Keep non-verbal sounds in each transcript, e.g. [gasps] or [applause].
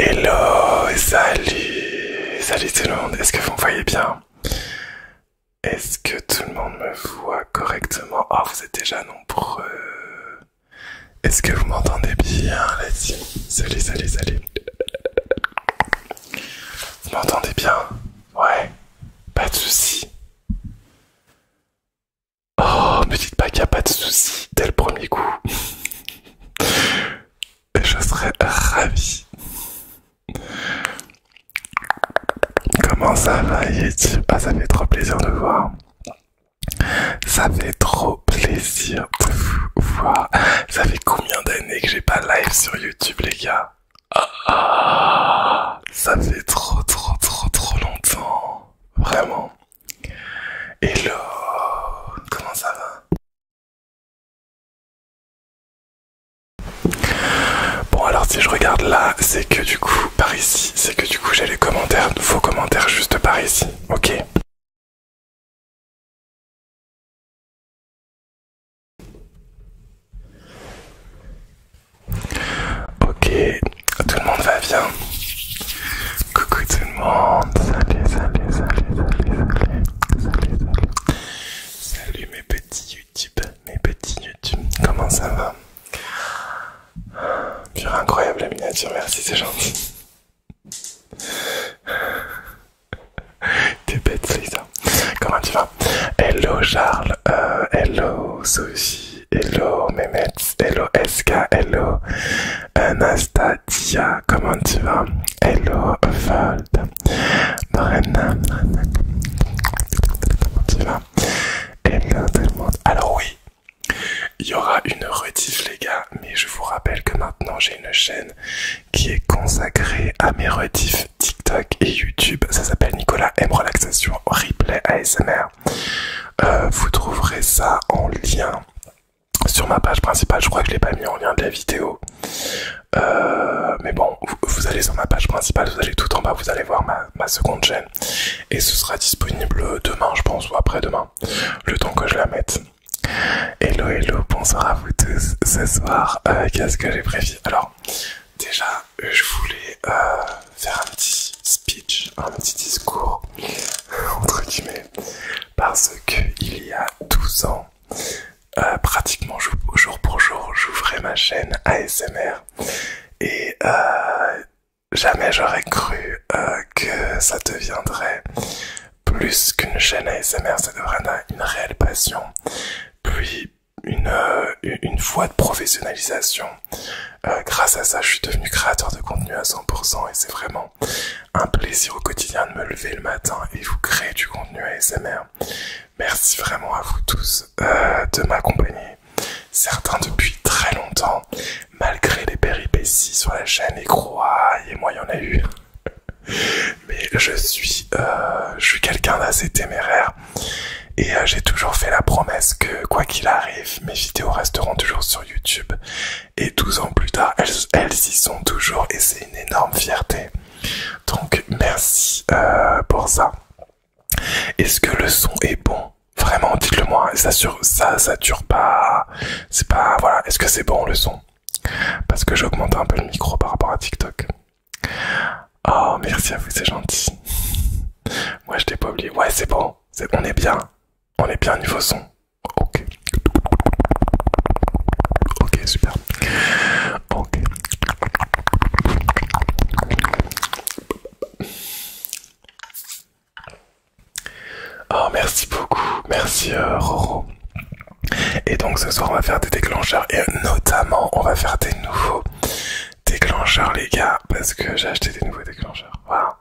Hello, salut, salut tout le monde, est-ce que vous me voyez bien est-ce que tout le monde me voit correctement Oh, vous êtes déjà nombreux. Est-ce que vous m'entendez bien Let's y Salut, salut, salut. Vous m'entendez bien Ouais. Pas de soucis. Oh, me dites pas qu'il y a pas de soucis dès le premier coup. [laughs] Je serais ravi. Comment ça va YouTube Ah ça fait trop plaisir de voir. Ça fait trop plaisir de vous voir. Ça fait combien d'années que j'ai pas live sur YouTube les gars Ça fait trop trop trop trop longtemps. Vraiment. Hello Comment ça va Bon alors si je regarde là, c'est que du coup par ici, c'est que du coup j'ai les commentaires, faux commentaires juste par ici, ok Ok, tout le monde va bien Coucou tout le monde, salut, salut, salut, salut, salut, salut, salut, salut mes petits YouTube, mes petits YouTube, comment ça va Pure incroyable la miniature, merci, c'est gentil. [laughs] T'es bête, Lisa. Comment tu vas Hello Charles, euh, hello Sophie, hello Mehmet, hello Eska, hello Anastasia, comment tu vas Hello Val, eh alors oui, il y aura une rediff les gars, mais je vous rappelle que maintenant j'ai une chaîne qui est consacrée à mes rediff TikTok et YouTube. Ça s'appelle Nicolas M Relaxation Replay ASMR. Euh, vous trouverez ça en lien sur ma page principale. Je crois que je l'ai pas mis en lien de la vidéo. Euh, mais bon, vous, allez sur ma page principale, vous allez tout en bas, vous allez voir ma, seconde chaîne. Et ce sera disponible demain, je pense, ou après-demain, le temps que je la mette. Hello, hello, bonsoir à vous tous. Ce soir, euh, qu'est-ce que j'ai prévu Alors, déjà, je voulais euh, faire un petit speech, un petit discours, [laughs] entre guillemets, parce qu'il y a 12 ans, euh, pratiquement jour, pour jour, j'ouvrais ma chaîne ASMR et euh, jamais j'aurais cru euh, que ça deviendrait plus qu'une chaîne ASMR, ça devrait une, réelle passion, puis une, une voie de professionnalisation. grâce à ça, je suis devenu créateur de contenu à 100% et c'est vraiment un plaisir au quotidien de me lever le matin et vous créer du contenu ASMR. Merci vraiment à vous tous euh, de m'accompagner. Certains depuis très longtemps, malgré les péripéties sur la chaîne et croyez moi il y en a eu. [laughs] Mais je suis, euh, je suis quelqu'un d'assez téméraire et euh, j'ai toujours fait la promesse que quoi qu'il arrive, mes vidéos resteront toujours sur YouTube. Et 12 ans plus tard, elles y sont toujours et c'est une énorme fierté. Donc merci euh, pour ça. Est-ce que le son est bon Vraiment, dites-le moi. Ça sur, ça dure pas. C'est pas voilà. Est-ce que c'est bon le son Parce que j'augmente un peu le micro par rapport à TikTok. Oh merci à vous, c'est gentil. Moi je t'ai pas oublié. Ouais c'est bon. on est bien. On est bien niveau son. Ok. Ok super. Ok. Oh, merci beaucoup, merci euh, Roro. Et donc ce soir on va faire des déclencheurs et notamment on va faire des nouveaux déclencheurs les gars parce que j'ai acheté des nouveaux déclencheurs. Voilà.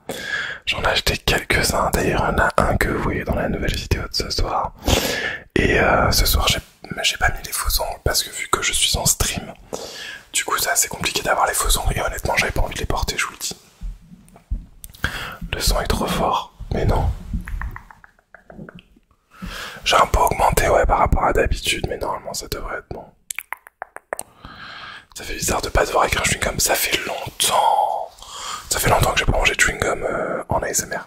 J'en ai acheté quelques-uns, d'ailleurs il a un que vous voyez dans la nouvelle vidéo de ce soir. Et euh, ce soir j'ai mais j'ai pas mis les faux ongles parce que vu que je suis en stream, du coup ça c'est compliqué d'avoir les faux et honnêtement j'avais pas envie de les porter, je vous le dis. Le son est trop fort, mais non. J'ai un peu augmenté ouais par rapport à d'habitude, mais normalement ça devrait être bon. Ça fait bizarre de pas devoir avec un chewing-gum, ça fait longtemps. Ça fait longtemps que j'ai pas mangé de chewing-gum euh, en ASMR.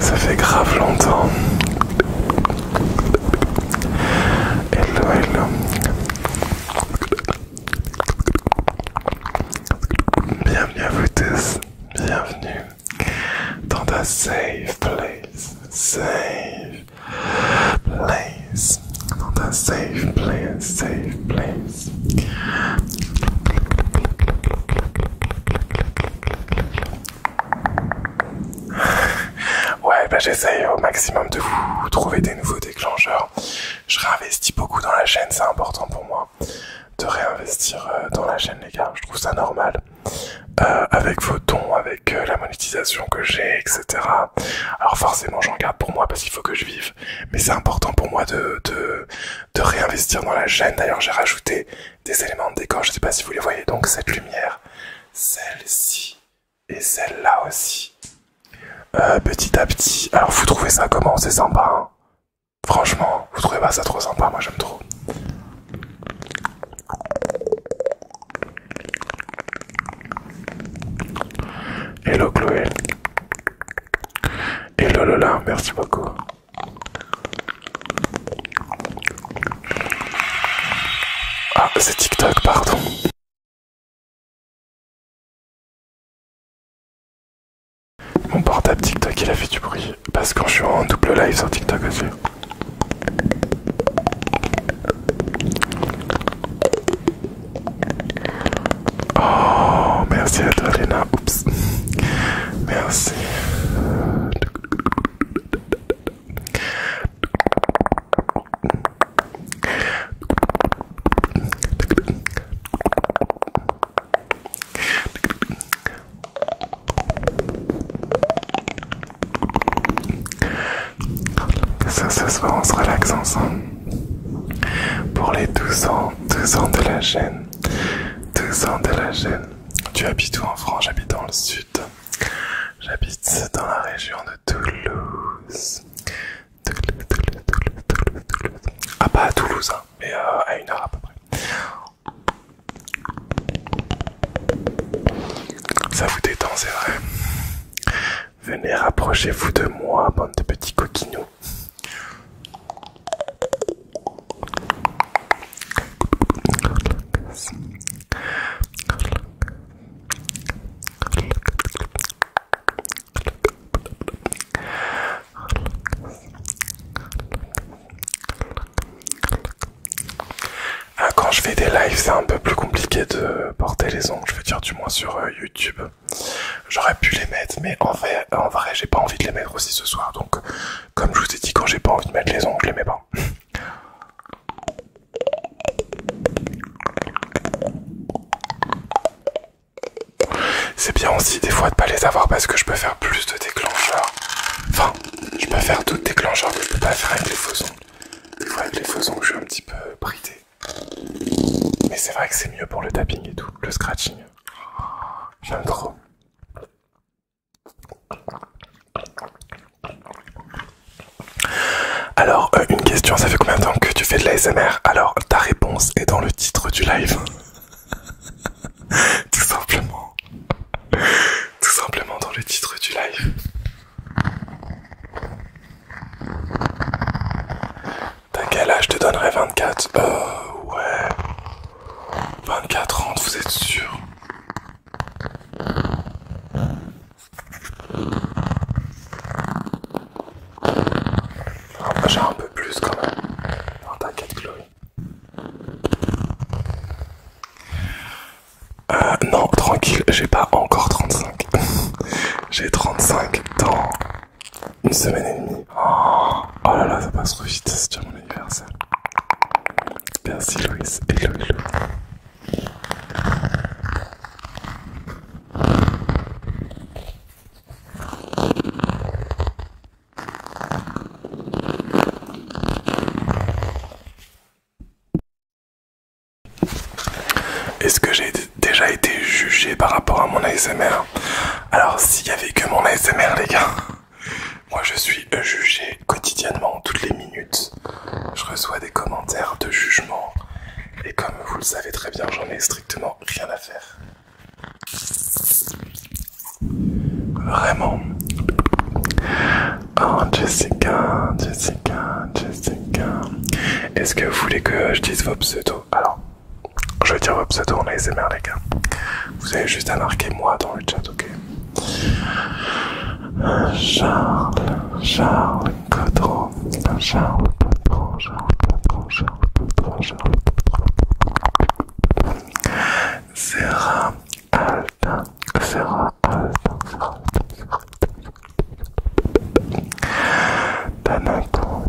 Ça fait grave longtemps. Hello, hello. Bienvenue à vous tous. Bienvenue dans ta safe place. Safe place dans un safe place, safe place. Ouais, bah j'essaye au maximum de vous trouver des nouveaux déclencheurs. Je réinvestis beaucoup dans la chaîne, c'est important pour moi de réinvestir euh, dans la chaîne, les gars. Je trouve ça normal. Euh, avec vos dons, avec euh, la monétisation que j'ai, etc. Alors forcément, j'en garde pour moi parce qu'il faut que je vive. Mais c'est important pour moi de, réinvestir dans la gêne D'ailleurs, j'ai rajouté des éléments de décor. Je sais pas si vous les voyez. Donc cette lumière, celle-ci et celle-là aussi. Euh, petit à petit. Alors vous trouvez ça comment C'est sympa. Hein? Franchement, vous trouvez pas ça trop sympa Moi, j'aime trop. Hello Chloé. Et Lolola, merci beaucoup. Ah, c'est TikTok, pardon. Mon portable TikTok, il a fait du bruit. Parce que je suis en double live sur TikTok aussi. Oh, merci à toi, Léna. Oups. Merci. Ça, ce soir, on se relaxe ensemble. Pour les 12 ans, 12 ans de la gêne. 12 ans de la gêne. Tu habites où en France J'habite dans le sud. J'habite dans la région de Toulouse. Toulouse, Toulouse, Toulouse, Toulouse, Toulouse. Ah, pas bah, à Toulouse, hein, mais euh, à une heure à peu près. Ça vous détend, c'est vrai. Venez, rapprochez-vous de moi, bande de petits coquinous. Ah, quand je fais des lives, c'est un peu plus compliqué de porter les ongles, je veux dire, du moins sur euh, YouTube. J'aurais pu les mettre, mais en vrai, en vrai j'ai pas envie de les mettre aussi ce soir. Donc, comme je vous ai dit, quand j'ai pas envie de mettre les ongles, je les mets pas. [laughs] C'est bien aussi des fois de pas les avoir parce que je peux faire plus de déclencheurs. Enfin, je peux faire d'autres déclencheurs mais je peux pas faire avec les faux ongles. Des fois avec les faux ongles, je suis un petit peu bridé. Mais c'est vrai que c'est mieux pour le tapping et tout, le scratching. J'aime trop. Alors, euh, une question, ça fait combien de temps que tu fais de l'ASMR Alors, ta réponse est dans le titre du live. [laughs] Tout simplement. Tout simplement dans le titre du live. T'as quel âge Je te donnerai 24. Euh, ouais. 24, 30, vous êtes sûr ah, J'ai un peu plus quand même. t'inquiète, Chloé. Euh, non, tranquille, j'ai pas encore 35. [laughs] j'ai 35 dans une semaine et demie. Oh, oh, là là, ça passe trop vite, c'est déjà mon anniversaire. Merci Loïs et hello. Est-ce que j'ai été déjà été jugé par rapport à mon ASMR. Alors s'il y avait que mon ASMR les gars, moi je suis jugé quotidiennement, toutes les minutes. Je reçois des commentaires de jugement et comme vous le savez très bien, j'en ai strictement rien à faire. Vraiment. Oh Jessica, Jessica, Jessica. Est-ce que vous voulez que je dise vos pseudos Alors, je vais dire vos pseudo en ASMR, les gars. Vous avez juste à marquer moi dans le chat, ok Charles, Charles Cotron, Charles Cotron, Charles Cotron, Charles Cotron, Charles Cotron. Serra Alta, Serra Alta, Serra Alta, Serra Alta. Tanako,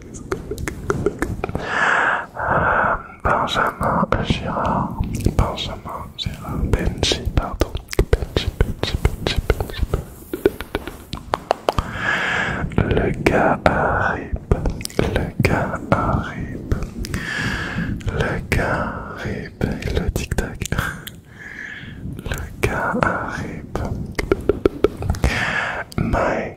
Benjamin Girard, Benjamin Girard, Benji, pardon, Benji, Benji, Le gars arrive, le gars arrive, le gars arrive, le tic-tac, le gars arrive. My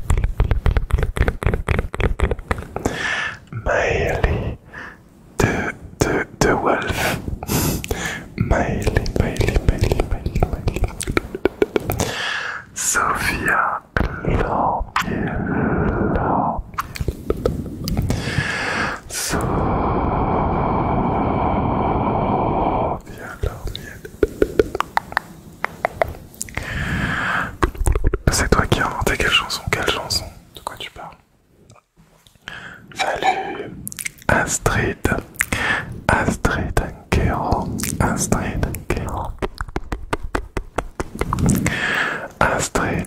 Miley the the the wolf Miley Miley Miley Miley Miley Sophia Laurel Sophia Laurel C'est toi qui as inventé quelle chanson Quelle chanson De quoi tu parles Salut Astrid Astrid Kero Astrid Kero Astrid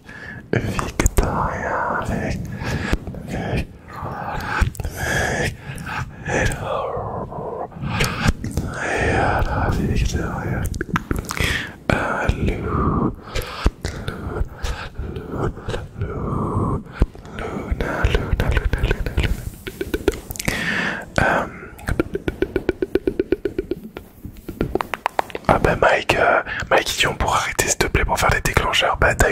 Victoria, Victoria... Victoria... hello, hello, Victoria, Lou, Lou, Lou, Luna, Luna, Luna, ah ben Mike, euh, Mike, pour on arrêter s'il te plaît pour faire les déclencheurs, bah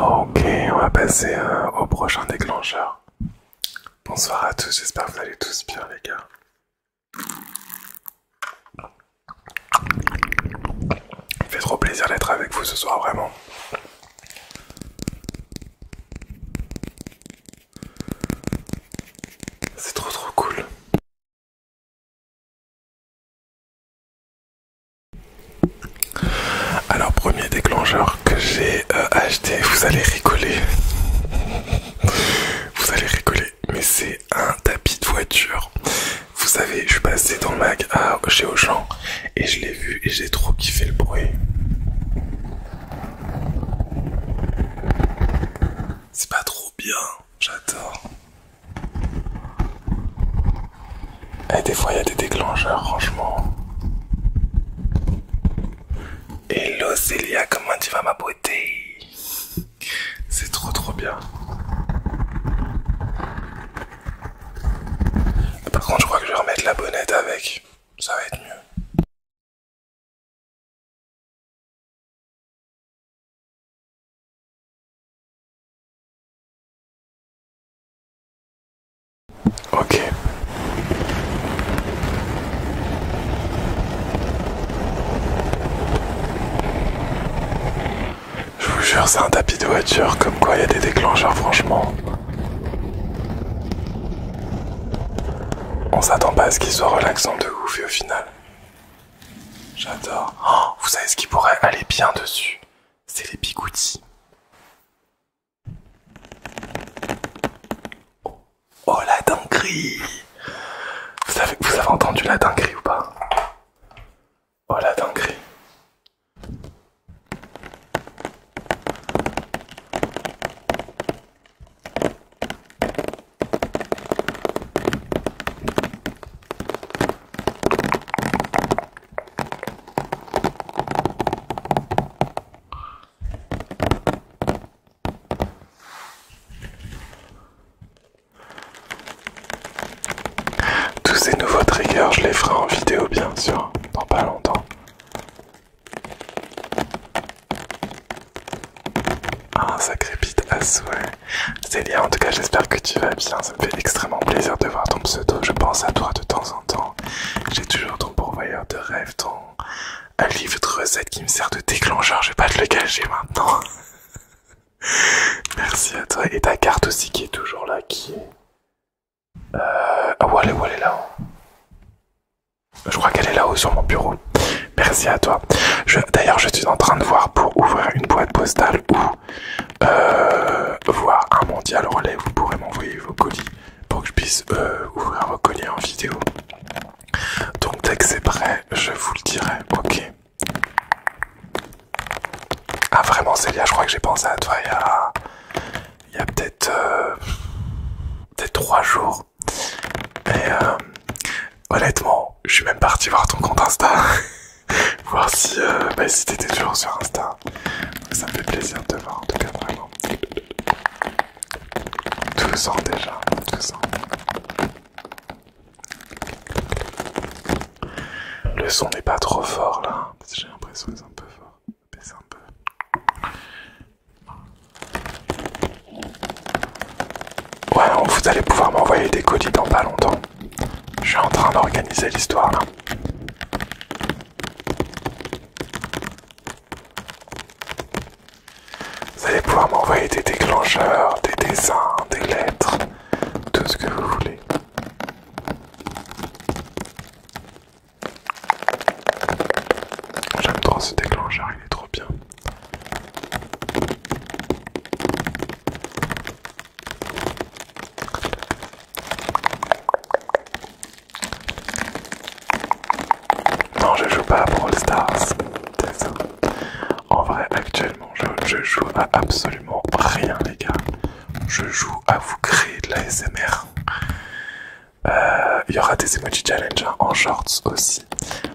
Ok, on va passer euh, au prochain déclencheur. Bonsoir à tous, j'espère que vous allez tous bien les gars. Il fait trop plaisir d'être avec vous ce soir vraiment. C'est trop trop cool. Alors premier déclencheur que j'ai euh, acheté, vous allez rigoler. Vous allez rigoler, mais c'est un tapis de voiture. Vous savez, je suis passé dans le mag à, chez Auchan et je l'ai vu et j'ai trop kiffé le bruit. C'est pas trop bien j'adore. Et des fois, il y a des déclencheurs, franchement. Hello Célia, comment tu vas ma beauté C'est trop trop bien. Par contre, je crois que je vais remettre la bonnette avec. Ça va être mieux. Ok. Je vous jure, c'est un tapis de voiture, comme quoi il y a des déclencheurs, franchement. On s'attend pas à ce qu'il soit relaxant de ouf et au final, J'adore. Oh, vous savez ce qui pourrait aller bien dessus C'est les bigoutis. Oh, oh, la dinguerie vous avez, vous avez entendu la dinguerie ou pas Oh la dinguerie tous ces nouveaux triggers, je les ferai en vidéo bien sûr, dans pas longtemps. Ah, ça crépite à souhait. Célia, en tout cas, j'espère que tu vas bien. Ça me fait extrêmement plaisir de voir ton pseudo. Je pense à toi de temps en temps. J'ai toujours ton pourvoyeur de rêves, ton livre de recettes qui me sert de déclencheur. Je vais pas te le cacher maintenant. [laughs] Merci à toi. Et ta carte aussi qui est toujours là, qui est. Ah, où là Je crois qu'elle est là-haut sur mon bureau. Merci à toi. D'ailleurs, je suis en train de voir pour ouvrir une boîte postale ou euh, voir un mondial relais. Vous pourrez m'envoyer vos colis pour que je puisse euh, ouvrir vos colis en vidéo. Donc dès que c'est prêt, je vous le dirai. Ok. Ah vraiment Célia, je crois que j'ai pensé à toi il y a, peut-être des euh, trois jours. Et honnêtement, je suis même parti voir ton compte Insta. [laughs] [laughs] voir euh, bah, si, t'étais toujours sur Insta. ça me fait plaisir de te voir en tout cas vraiment. tout ans déjà, tout ans. Le son n'est pas trop fort là, j'ai l'impression qu'il c'est un peu fort. Baisse un peu. Ouais, vous allez pouvoir m'envoyer des colis dans pas longtemps. Je suis en train d'organiser l'histoire là. Vous allez pouvoir m'envoyer des déclencheurs, des dessins, des lettres, tout ce que vous voulez. J'aime trop ce déclencheur, il est trop bien. Non, je joue pas à Brawl Stars, En vrai, actuellement, je, joue à absolument rien, les gars. Je joue à vous créer de la SMR. Euh, il y aura des emoji challenge hein, en shorts aussi.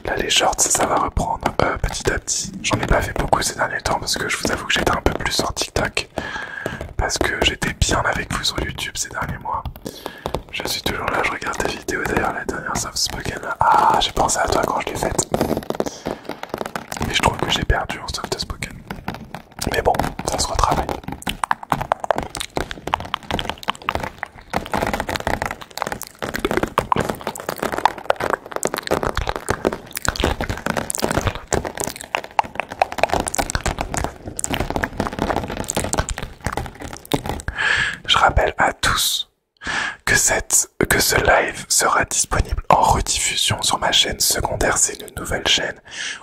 Là, les shorts, ça va reprendre euh, petit J'en ai pas fait beaucoup ces derniers temps parce que je vous avoue que j'étais un peu plus sur TikTok. Parce que j'étais bien avec vous sur YouTube ces derniers mois. Je suis toujours là, je regarde tes vidéos d'ailleurs, la dernière Soft Spoken. Ah, j'ai pensé à toi quand je l'ai faite. Mais je trouve que j'ai perdu en Soft Spoken. Mais bon, ça se retravaille. Je rappelle à tous que, ce live sera disponible en rediffusion sur ma chaîne secondaire. C'est une nouvelle chaîne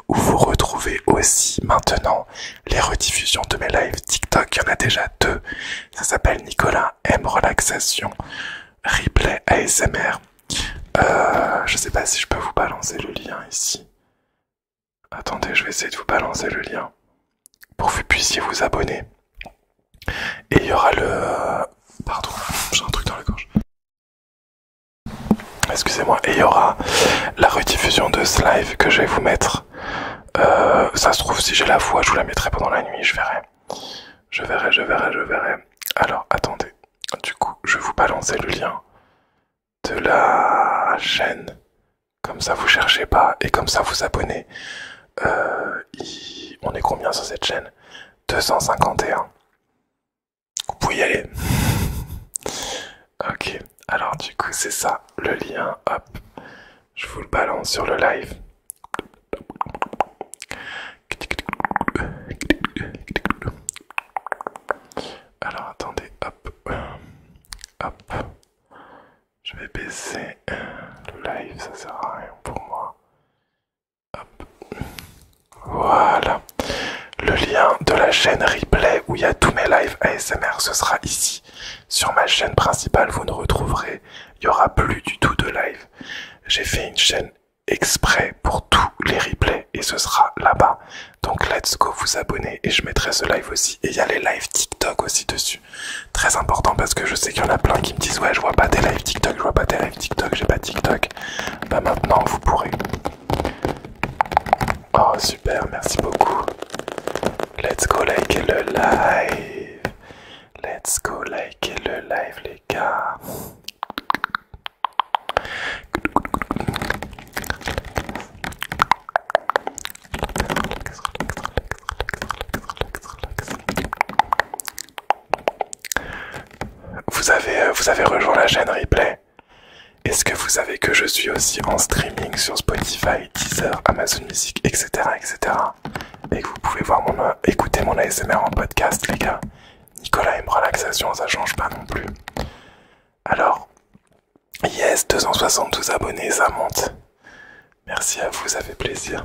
où vous retrouvez aussi maintenant les rediffusions de mes lives TikTok. Il y en a déjà deux. Ça s'appelle Nicolas M Relaxation replay ASMR. Euh, je sais pas si je peux vous balancer le lien ici. Attendez, je vais essayer de vous balancer le lien pour que vous puissiez vous abonner. Et il y aura le... Euh, pardon, j'ai un truc dans la gorge. Excusez-moi. Et il y aura la rediffusion de ce live que je vais vous mettre. Euh, ça se trouve, si j'ai la voix, je vous la mettrai pendant la nuit, je verrai. Je verrai, je verrai, je verrai. Alors, attendez. Du coup, je vous balancer le lien de la chaîne. Comme ça, vous cherchez pas et comme ça, vous abonnez. Euh, on est combien sur cette chaîne 251. Vous pouvez y aller. [laughs] ok. Alors, du coup, c'est ça. Le lien, hop. Je vous le balance sur le live. Alors attendez, hop, hop, je vais baisser euh, le live, ça sert à rien pour moi. Hop. Voilà, le lien de la chaîne replay où il y a tous mes lives ASMR, ce sera ici. Sur ma chaîne principale, vous ne retrouverez, il n'y aura plus du tout de live. J'ai fait une chaîne exprès pour tous les replays et ce sera là-bas. Donc let's go vous abonner et je mettrai ce live aussi. Et il y a les lives TikTok aussi dessus. Très important parce que je sais qu'il y en a plein qui me disent ouais je vois pas des lives TikTok, je vois pas des lives TikTok, j'ai pas TikTok. Bah maintenant vous pourrez. Oh super, merci beaucoup. Let's go like le live. Let's go like le live vous avez, euh, vous avez rejoint la chaîne replay. Est-ce que vous savez que je suis aussi en streaming sur Spotify, Deezer, Amazon Music, etc. etc et que vous pouvez voir mon, euh, écouter mon ASMR en podcast, les gars. Nicolas aime relaxation, ça change pas non plus. Alors, yes, 272 abonnés, ça monte. Merci à vous, ça fait plaisir.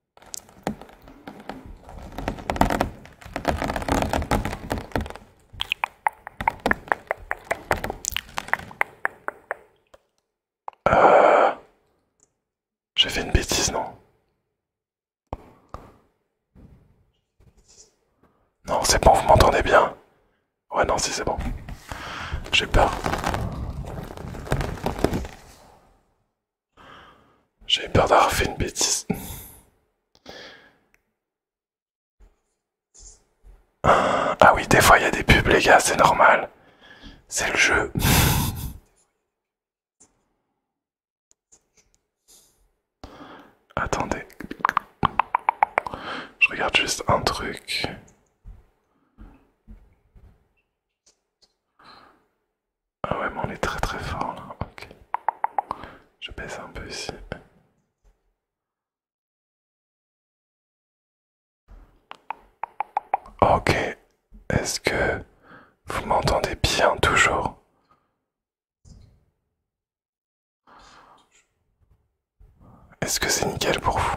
Euh, j'ai fait une bêtise, non Non, c'est bon, vous m'entendez bien Ouais, non, si c'est bon. J'ai peur. J'ai peur d'avoir fait une bêtise. Ah oui, des fois il y a des pubs, les gars, c'est normal. C'est le jeu. Attendez. Je regarde juste un truc. Ah ouais, mais on est très très fort là. Ok. Je baisse un peu ici. Ok. Est-ce que vous m'entendez bien toujours Est-ce que c'est nickel pour vous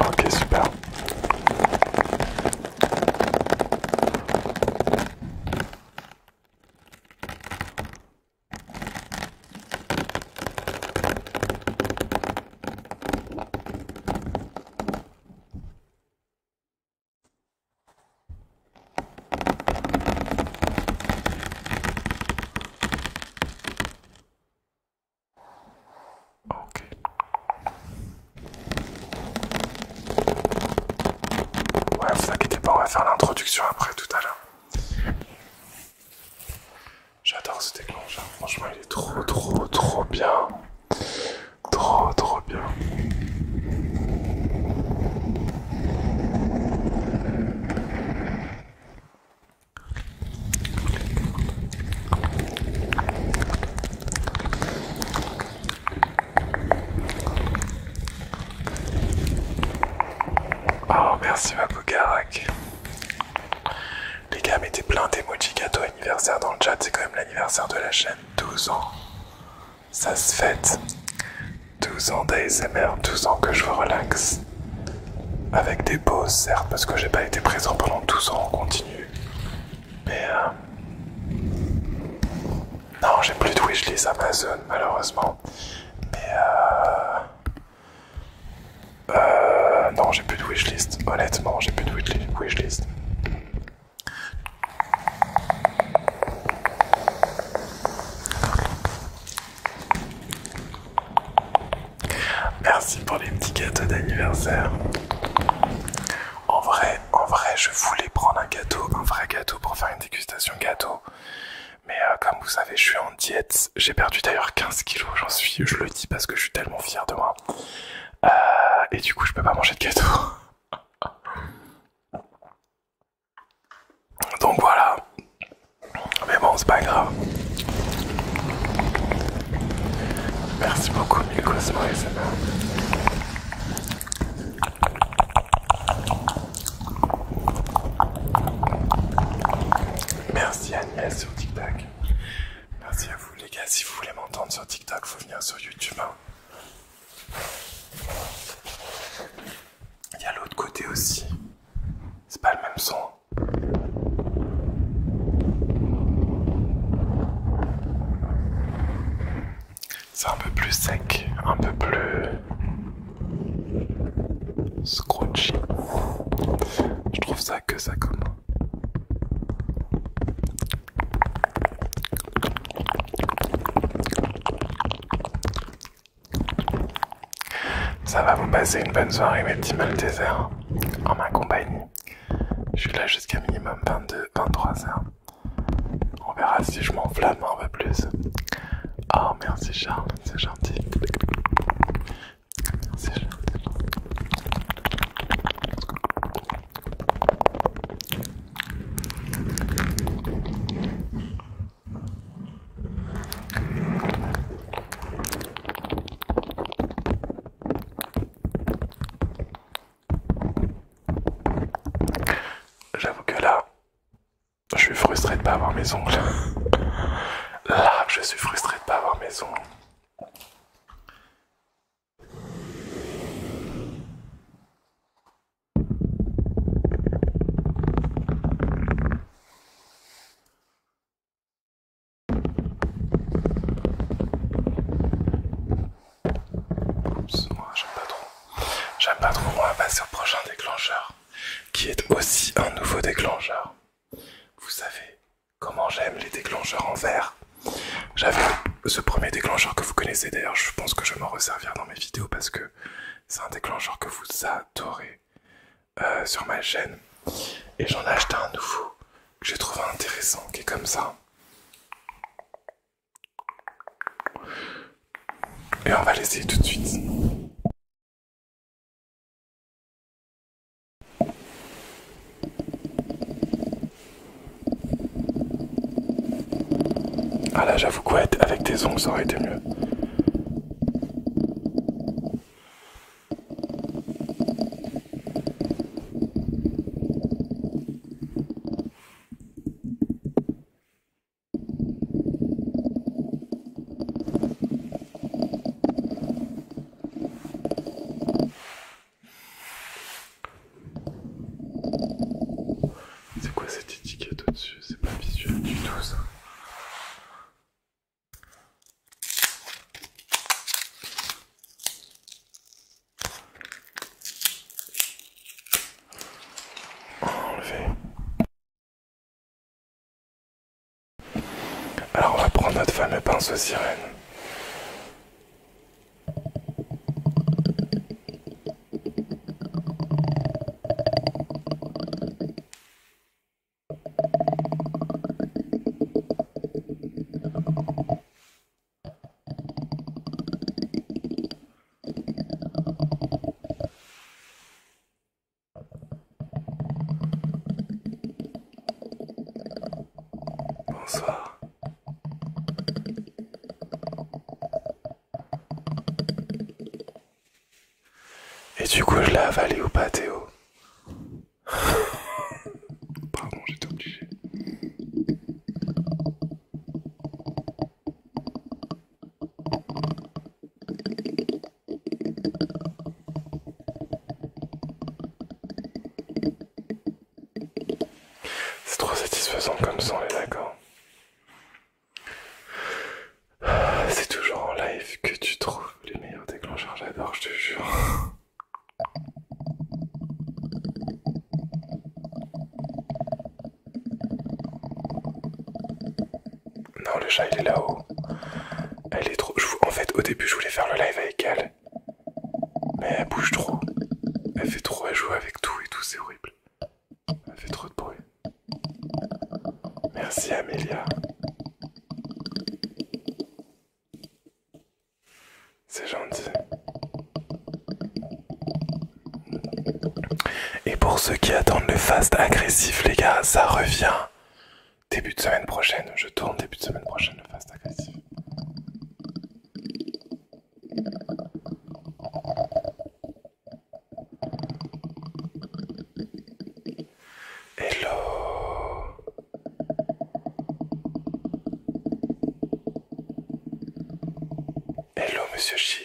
Ok, super. Ok. Ouais, vous inquiétez pas, on va faire l'introduction après tout à l'heure. J'adore ce déclencheur, franchement il est trop trop trop bien. Trop trop bien. Oh merci ma Karak Les gars mettez plein d'emoji gâteau anniversaire dans le chat, c'est quand même l'anniversaire de la chaîne, 12 ans. Ça se fête. 12 ans d'ASMR, 12 ans que je vous relaxe avec des pauses certes parce que j'ai pas été présent pendant 12 ans en continu mais euh, non j'ai plus de wishlist Amazon malheureusement mais euh, euh... non j'ai plus de wishlist honnêtement j'ai plus de wishlist Merci pour les petits gâteaux d'anniversaire. En vrai, en vrai, je voulais prendre un gâteau, un vrai gâteau pour faire une dégustation gâteau. Mais euh, comme vous savez, je suis en diète. J'ai perdu d'ailleurs 15 kilos, j'en suis, je le dis parce que je suis tellement fier de moi. Euh, et du coup, je peux pas manger de gâteau. [laughs] Donc voilà, mais bon, c'est pas grave. Merci beaucoup, Mille Cosmo Merci Agnès sur TikTok. Merci à vous les gars. Si vous voulez m'entendre sur TikTok, faut venir sur YouTube. Hein. Il y a l'autre côté aussi. C'est pas le même son. C'est un peu plus sec, un peu plus scrunchy. Je trouve ça que ça comme. Ça va, vous passer une bonne soirée, mes petits Maltesers, en ma compagnie. Je suis là jusqu'à minimum 22, 23 heures. On verra si je m'enflamme un peu plus. Oh, merci Charles, c'est gentil. J'avoue que là, je suis frustré de pas avoir mes ongles. Là, je suis frustré de pas avoir mes ongles. Je j'aime pas trop. J'aime pas trop, on va passer au prochain déclencheur, qui est aussi un nouveau déclencheur. Vous savez comment j'aime les déclencheurs en verre. J'avais ce premier déclencheur que vous connaissez d'ailleurs, je pense que je vais m'en resservir dans mes vidéos parce que c'est un déclencheur que vous adorez. Euh, sur ma chaîne et j'en ai acheté un nouveau que j'ai trouvé intéressant qui est comme ça. Et on va l'essayer tout de suite. Ah là j'avoue quoi avec tes ongles ça aurait été mieux. C'est quoi cette étiquette au-dessus C'est pas visuel du tout ça. Alors on va prendre notre fameux pinceau sirène. Bonsoir. Et du coup, je l'ai avalé ou pas, Théo [laughs] Pardon, j'étais obligé. C'est trop satisfaisant comme son les d'accord. C'est toujours en live que tu trouves les meilleurs déclencheurs, j'adore, je te jure. Non, le chat il est là-haut. Elle est trop. En fait, au début, je voulais faire le live avec elle. Mais elle bouge trop. Elle fait trop, elle joue avec tout et tout, c'est horrible. Elle fait trop de bruit. Merci Amélia. C'est gentil. Et pour ceux qui attendent le fast agressif, les gars, ça revient début de semaine prochaine. Je tourne début de semaine prochaine le fast agressif. Hello. Hello, monsieur Chic.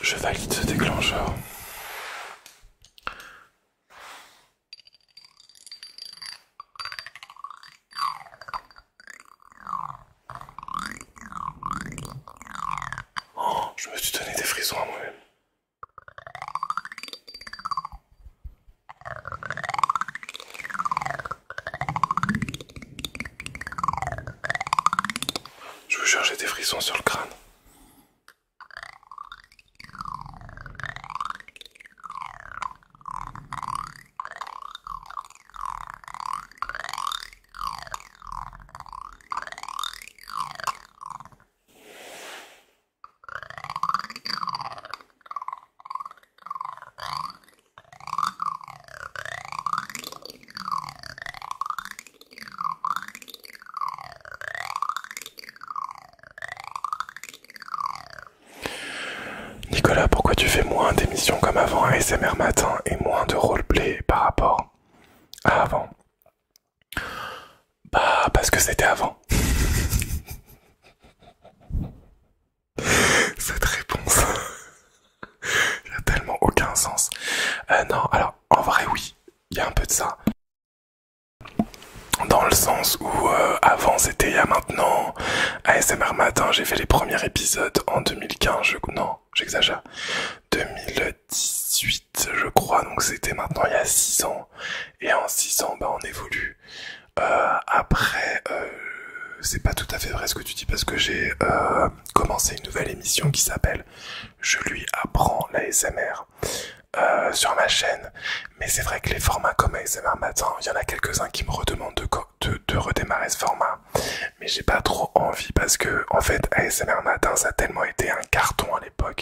Je valide ce déclencheur. Oh, je me suis donné des frissons à moi-même. Je vous jure, des frissons sur le crâne. Nicolas, pourquoi tu fais moins d'émissions comme avant SMR matin et moins de roleplay par rapport à avant bah parce que c'était avant. [laughs] Cette réponse [laughs] n'a tellement aucun sens. Euh, non, alors en vrai oui, il y a un peu de ça. Dans le sens où euh, avant c'était à y a maintenant, ASMR Matin, j'ai fait les premiers épisodes en 2015, non, j'exagère, 2010. 18 je crois, donc c'était maintenant il y a 6 ans. Et en 6 ans, bah, on évolue. Euh, après, euh, c'est pas tout à fait vrai ce que tu dis parce que j'ai euh, commencé une nouvelle émission qui s'appelle Je lui apprends la sur ma chaîne. Mais c'est vrai que les formats comme ASMR matin, il y en a quelques-uns qui me redemandent de, de redémarrer ce format. Mais j'ai pas trop envie parce que en fait ASMR matin ça a tellement été un carton à l'époque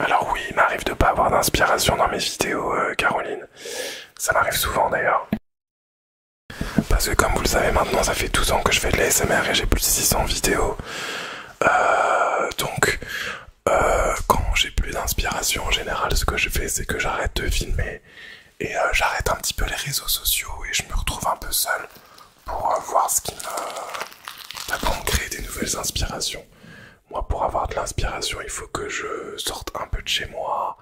Alors oui, il m'arrive de pas avoir d'inspiration dans mes vidéos, euh, Caroline. Ça m'arrive souvent d'ailleurs. Parce que comme vous le savez maintenant, ça fait 12 ans que je fais de l'ASMR et j'ai plus de 600 vidéos. Euh, donc, euh, quand j'ai plus d'inspiration en général, ce que je fais, c'est que j'arrête de filmer et euh, j'arrête un petit peu les réseaux sociaux et je me retrouve un peu seul pour euh, voir ce qui me... D'abord, me des nouvelles inspirations. Moi, pour avoir de l'inspiration, il faut que je sorte un peu de chez moi,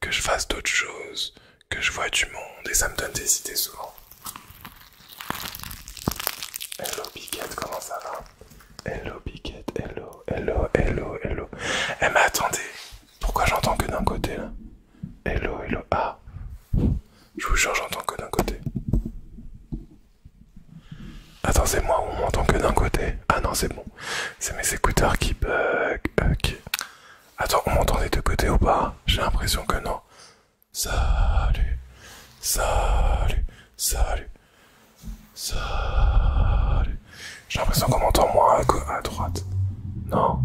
que je fasse d'autres choses, que je vois du monde, et ça me donne des idées souvent. Hello Piquette, comment ça va Hello Piquette, hello, hello, hello, hello. Eh mais attendez, pourquoi j'entends que d'un côté là Hello, hello. Ah Je vous jure, j'entends que d'un côté. Attends, c'est moi on m'entend que d'un côté. Ah non, c'est bon. C'est mes écouteurs qui bug. Ok. Attends, on m'entend des deux côtés ou pas J'ai l'impression que non. Salut, salut, salut, salut, j'ai l'impression qu'on m'entend moins à, droite. Non.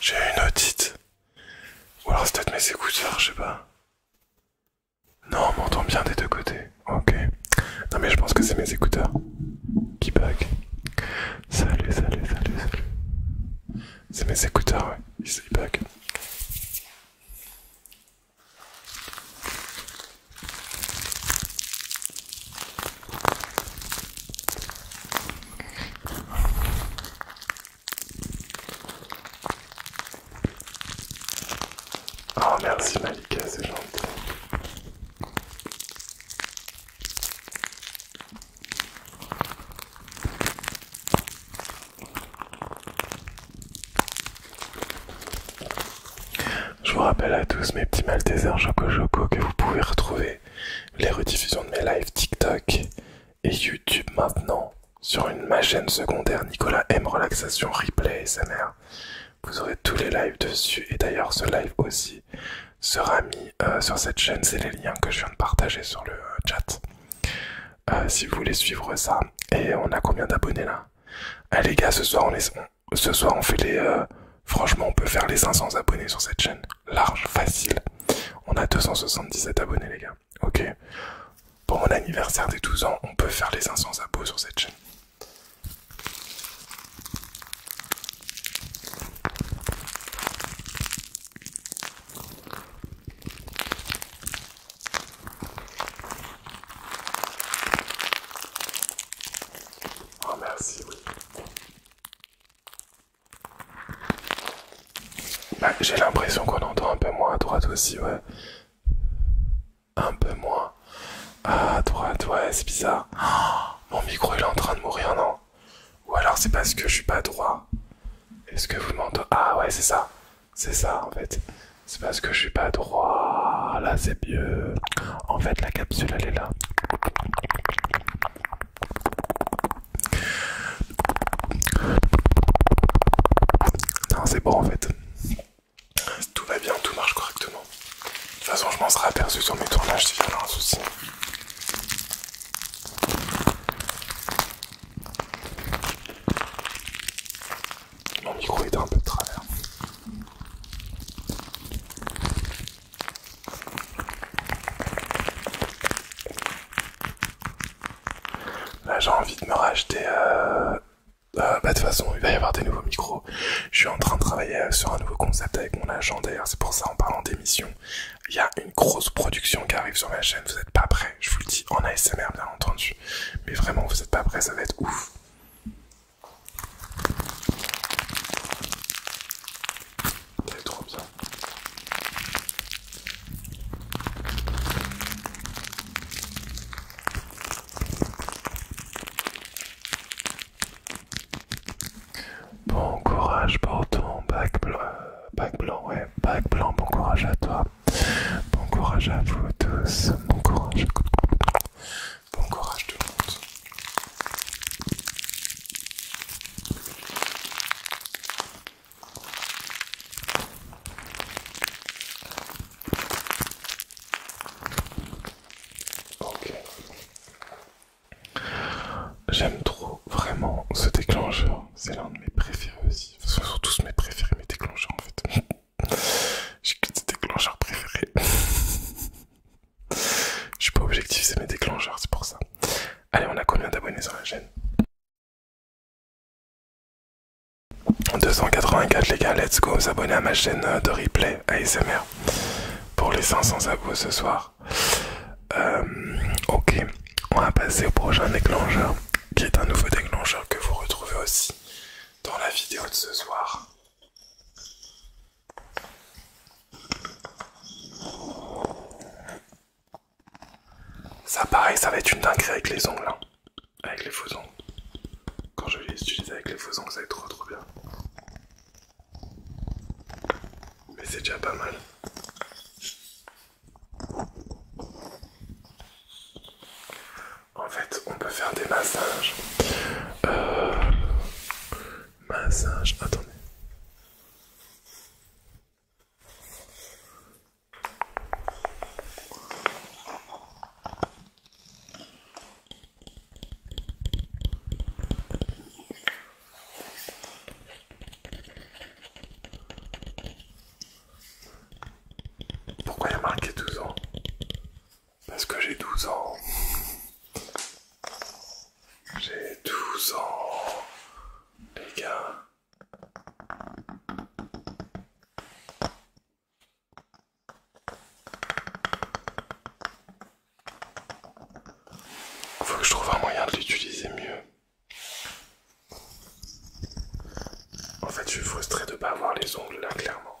J'ai une audite. Ou alors c'est peut-être mes écouteurs, je sais pas. Non, on m'entend bien des deux côtés. Ok. Non mais je pense que c'est mes écouteurs qui bug. Salut, salut, salut, salut. C'est mes écouteurs, ouais. Oh merci Malika, c'est gentil. Je vous rappelle à tous mes petits Maltesers Joko Joko que vous pouvez retrouver les rediffusions de mes lives TikTok et YouTube maintenant sur une, ma chaîne secondaire Nicolas M Relaxation Replay SMR. Vous aurez tous les lives dessus et d'ailleurs ce live aussi sera mis euh, sur cette chaîne. C'est les liens que je viens de partager sur le euh, chat. Euh, si vous voulez suivre ça. Et on a combien d'abonnés là Allez les gars, ce soir on est, ce soir on fait les... Euh, franchement on peut faire les 500 abonnés sur cette chaîne. Large, facile. On a 277 abonnés les gars. Ok. Pour mon anniversaire des 12 ans, on peut faire les 500 abos sur cette chaîne. Oh merci, oui. Bah, j'ai l'impression qu'on entend un peu moins à droite aussi, ouais. Un peu moins à droite, ouais, c'est bizarre. [gasps] mon micro il est en train de mourir, non Ou alors c'est parce que je suis pas droit. Est-ce que vous m'entendez Ah ouais, c'est ça. C'est ça en fait. C'est parce que je suis pas droit. Là, c'est mieux. En fait, la capsule, elle est là. Non, c'est bon en fait. Tout va bien, tout marche correctement. De toute façon, je m'en serai aperçu sur mes tournages s'il y a un souci. Mon micro est un peu de travers. Là j'ai envie de me racheter... Euh, euh, bah, de toute façon il va y avoir des nouveaux micros. Je suis en train de travailler euh, sur un nouveau concept avec mon agent d'ailleurs, c'est pour ça en parlant d'émission. Il y a une grosse production qui arrive sur ma chaîne, vous n'êtes pas prêts, je vous le dis en ASMR bien entendu. Mais vraiment vous n'êtes pas prêts, ça va être ouf. Bon courage pour ton bac blanc, bac blanc, ouais, bac blanc, bon courage à toi, bon courage à vous tous, bon courage. Bon courage tout le monde. Ok. J'aime trop vraiment ce déclencheur. C'est l'un de mes préférés aussi. Ce sont tous mes préférés, mes déclencheurs en fait. [laughs] J'ai que des déclencheurs préférés. [laughs] Je suis pas objectif, c'est mes déclencheurs, c'est pour ça. Allez, on a combien d'abonnés sur la chaîne 284 les gars, let's go, s'abonner à ma chaîne euh, de replay ASMR pour les 500 abos ce soir. Euh, ok, on va passer au prochain déclencheur, qui est un nouveau déclencheur que vous retrouvez aussi dans la vidéo de ce soir. Ça pareil, ça va être une dinguerie avec les ongles, hein. avec les faux ongles. Quand je les utilise avec les faux ongles, ça va être trop trop bien. Mais c'est déjà pas mal. En fait, on peut faire des massages. Euh, massage, attendez. Pourquoi il y a marqué 12 ans parce que j'ai 12 ans. J'ai 12 ans, les gars. Il Faut que je trouve un moyen de l'utiliser mieux. En fait, je suis frustré de ne pas avoir les ongles là, clairement.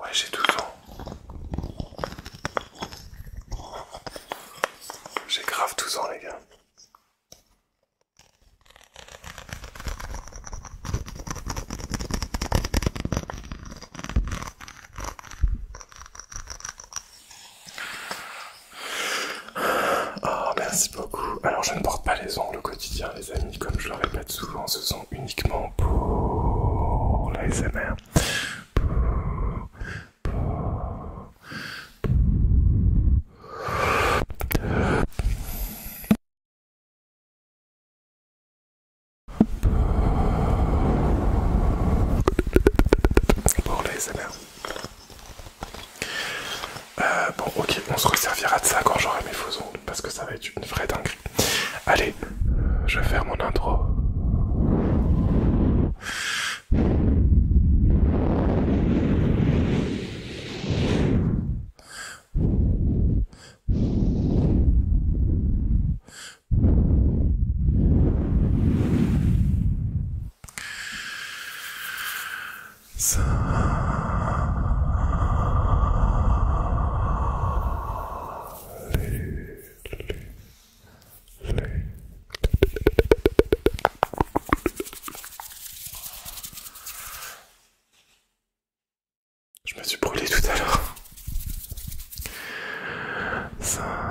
Ouais, j'ai 12 ans. J'ai grave 12 ans, les gars. Oh, merci beaucoup. Alors, je ne porte pas les ongles au quotidien, les amis, comme je le répète souvent, ce uniquement pour la Pour, les euh, bon, ok, on se resservira de ça quand j'aurai mes faux ongles parce que ça va être une vraie dinguerie. Allez, je vais mon intro. Je me suis brûlé tout à l'heure. Ça...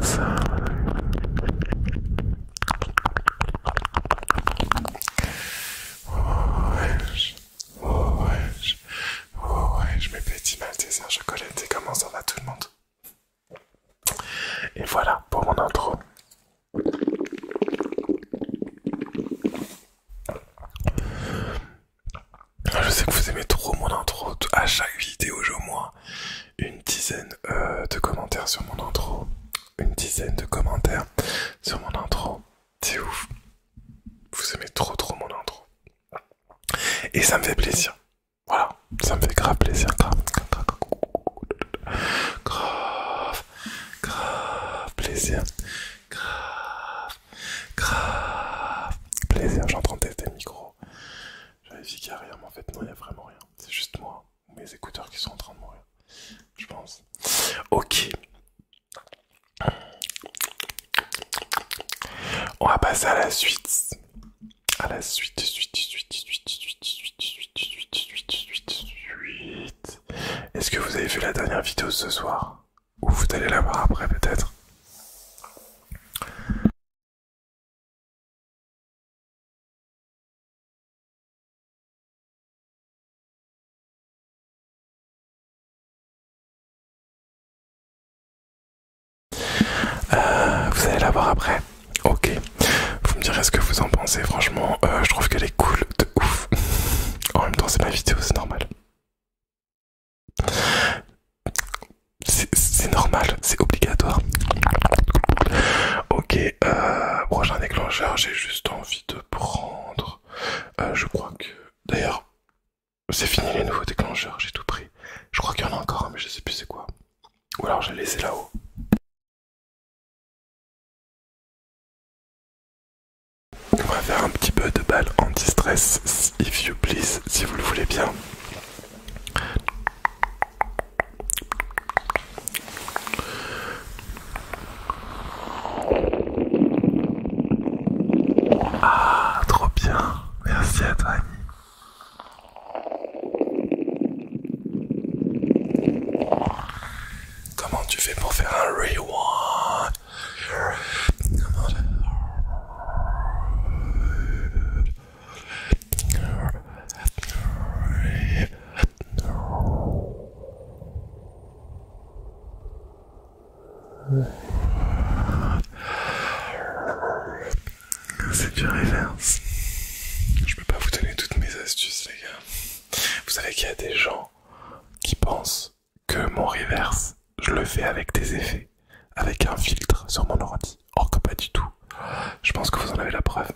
Salut. Oh ouais, oh ouais, je mets petit malteser chocolat et comment ça va tout le monde Et voilà pour mon intro. Ah, je sais que vous aimez trop mon intro. À chaque vidéo, j'ai au moins une dizaine euh, de commentaires sur mon intro. Une dizaine de commentaires sur mon intro. C'est ouf. Vous aimez trop trop mon intro. Et ça me fait plaisir. Voilà. Ça me fait grave plaisir. grave, grave plaisir. Grave grave, plaisir. J'ai en train de tester le micro. J'avais dit qu'il n'y a rien, mais en fait, non, il n'y a vraiment rien. C'est juste moi, mes écouteurs qui sont en train de mourir. Je pense. Ok. On va passer à la suite. À la suite, suite, suite, suite, suite, suite, suite, suite, suite, suite, suite. Est-ce que vous avez vu la dernière vidéo ce soir ou vous allez la voir après peut-être. Euh, vous allez la voir après. Ok. Vous me direz ce que vous en pensez. Franchement, euh, je trouve qu'elle est cool de ouf. [laughs] en même temps, c'est ma vidéo, c'est normal. C'est normal, c'est obligatoire. Ok, euh, prochain déclencheur, j'ai juste envie de prendre. Euh, je crois que. D'ailleurs, c'est fini les nouveaux déclencheurs, j'ai tout pris. Je crois qu'il y en a encore, mais je sais plus c'est quoi. Ou alors je laissé là-haut. On va faire un petit peu de balle anti-stress, if you please, si vous le voulez bien. Ah, trop bien. Merci à toi, Comment tu fais pour faire un rewind c'est bien reverse. Je peux pas vous donner toutes mes astuces, les gars. Vous savez qu'il y a des gens qui pensent que mon reverse, je le fais avec des effets, avec un filtre sur mon ordi. Or que pas du tout. Je pense que vous en avez la preuve.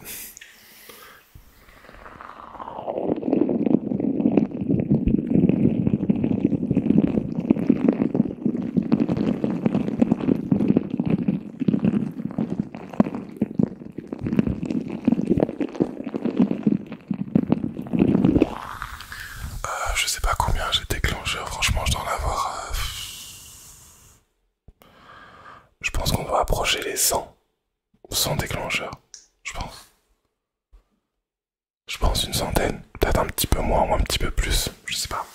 Euh, je sais pas combien j'ai d'éclencheurs, franchement je dois en avoir... Euh, je pense qu'on va approcher les 100. 100 déclencheurs, je pense. Je pense une centaine, peut-être un petit peu moins ou un petit peu plus, je sais pas.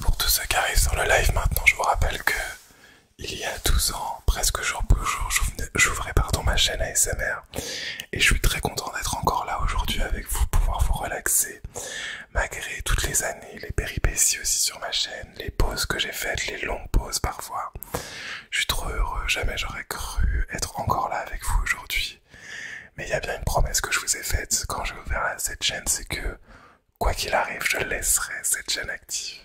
Pour tous ceux qui arrivent sur le live maintenant, je vous rappelle que il y a 12 ans, presque jour pour jour, j'ouvrais pardon ma chaîne ASMR et je suis très content d'être encore là aujourd'hui avec vous, pouvoir vous relaxer malgré toutes les années les péripéties aussi sur ma chaîne, les pauses que j'ai faites, les longues pauses parfois. Je suis trop heureux, jamais j'aurais cru être encore là avec vous aujourd'hui. Mais il y a bien une promesse que je vous ai faite quand j'ai ouvert cette chaîne, c'est que, quoi qu'il arrive, je laisserai cette chaîne active.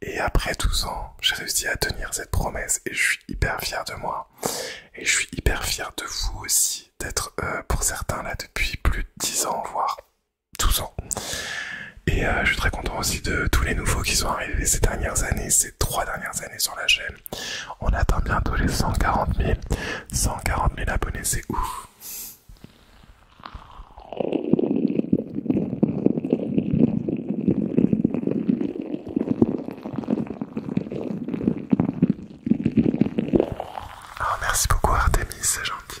Et après 12 ans, j'ai réussi à tenir cette promesse et je suis hyper fier de moi. Et je suis hyper fier de vous aussi, d'être euh, pour certains là depuis plus de 10 ans, voire tous en Et euh, je suis très content aussi de tous les nouveaux qui sont arrivés ces dernières années, ces trois dernières années sur la chaîne. On attend bientôt les 140 000. 140 000 abonnés, c'est ouf. Alors ah, merci beaucoup Artemis, c'est gentil.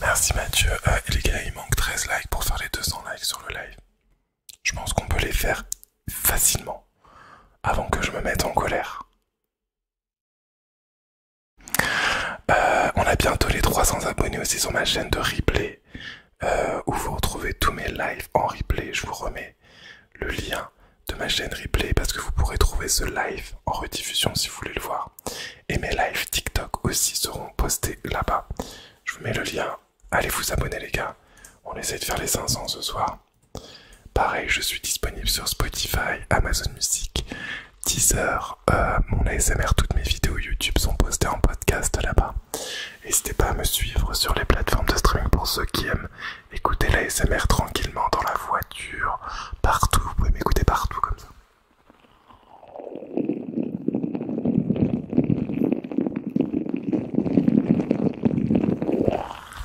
Merci Mathieu. Euh, et les gars, il manque 13 likes pour faire les 200 likes sur le live. Je pense qu'on peut les faire facilement avant que je me mette en colère. Euh, on a bientôt les 300 abonnés aussi sur ma chaîne de replay. Euh, où vous retrouvez tous mes lives en replay. Je vous remets le lien de ma chaîne replay parce que vous pourrez trouver ce live en rediffusion si vous voulez le voir. Et mes lives TikTok aussi seront postés là-bas. Je vous mets le lien. Allez vous abonner les gars. On essaie de faire les 500 ce soir. Pareil, je suis disponible sur Spotify, Amazon Music, Deezer, euh, mon ASMR, toutes mes vidéos YouTube sont postées en podcast là-bas. N'hésitez pas à me suivre sur les plateformes de streaming pour ceux qui aiment écouter la SMR tranquillement dans la voiture, partout. Vous pouvez m'écouter partout comme ça.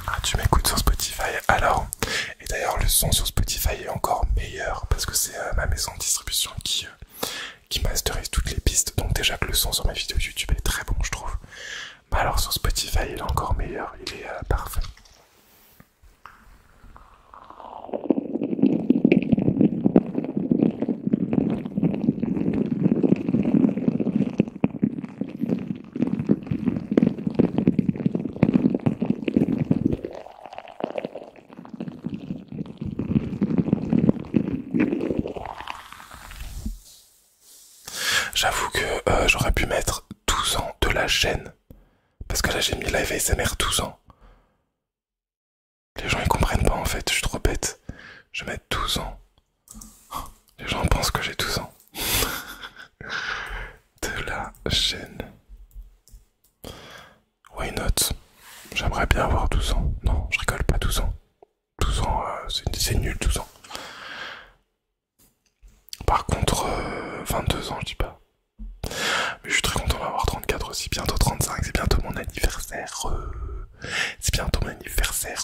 Ah, tu m'écoutes sur Spotify alors Et d'ailleurs, le son sur Spotify est encore meilleur parce que c'est euh, ma maison de distribution qui euh, qui masterise toutes les pistes. Donc déjà que le son sur mes vidéos YouTube est très bon, je trouve. Bah alors sur Spotify, il est encore meilleur, il est euh, parfait. J'avoue que euh, j'aurais pu mettre 12 ans de la chaîne. Parce que là j'ai mis live ASMR 12 ans. Les gens ils comprennent pas en fait, je suis trop bête. Je vais mettre 12 ans. Les gens pensent que j'ai 12 ans. [laughs] de la chaîne. Why not J'aimerais bien avoir 12 ans. Non, je rigole pas 12 ans. 12 ans, euh, c'est nul 12 ans. Par contre, 22 euh, ans, je dis pas. Mais je suis très content d'avoir 34 aussi, bientôt 35, c'est bientôt mon anniversaire. Euh. C'est bientôt mon anniversaire.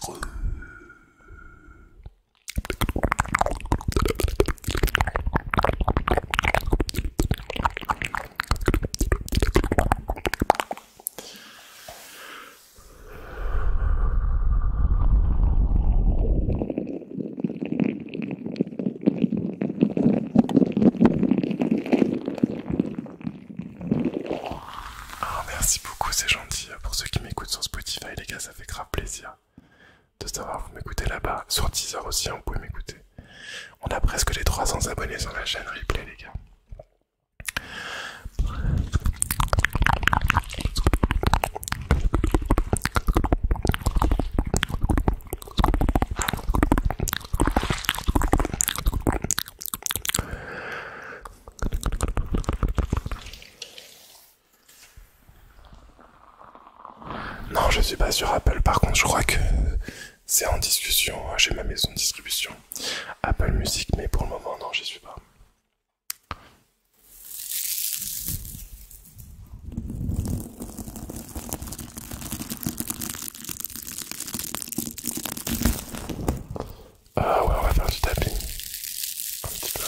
Ah, merci beaucoup, c'est gentil. Pour ceux qui m'écoutent sur Spotify, les gars, ça fait grave plaisir de savoir vous m'écoutez là-bas. Sur Teaser aussi, on hein, vous m'écouter. On a presque les 300 abonnés sur la chaîne Replay, les gars. Non, je suis pas sur Apple. Par contre, je crois que c'est en discussion hein, J'ai ma maison de distribution. Apple Music, mais pour le moment, non, j'y suis pas. Ah ouais, on va faire du tapping. Un petit peu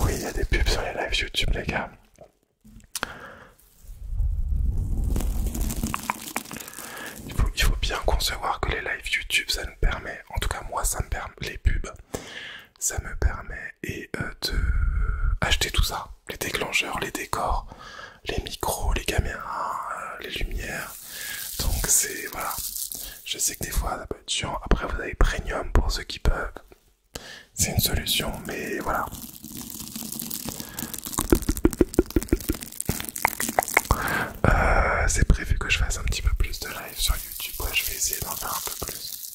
oui, il y a des pubs sur les lives YouTube, les gars. Il faut, il faut bien concevoir que les lives YouTube, ça nous permet, en tout cas moi, ça me permet, les pubs, ça me permet et, euh, de acheter tout ça, les déclencheurs, les décors, les micros, les caméras, euh, les lumières. Donc c'est voilà. Je sais que des fois ça peut Après vous avez Premium pour ceux qui peuvent. C'est une solution, mais voilà. Euh, c'est prévu que je fasse un petit peu plus de live sur YouTube. Ouais, je vais essayer d'en faire un peu plus.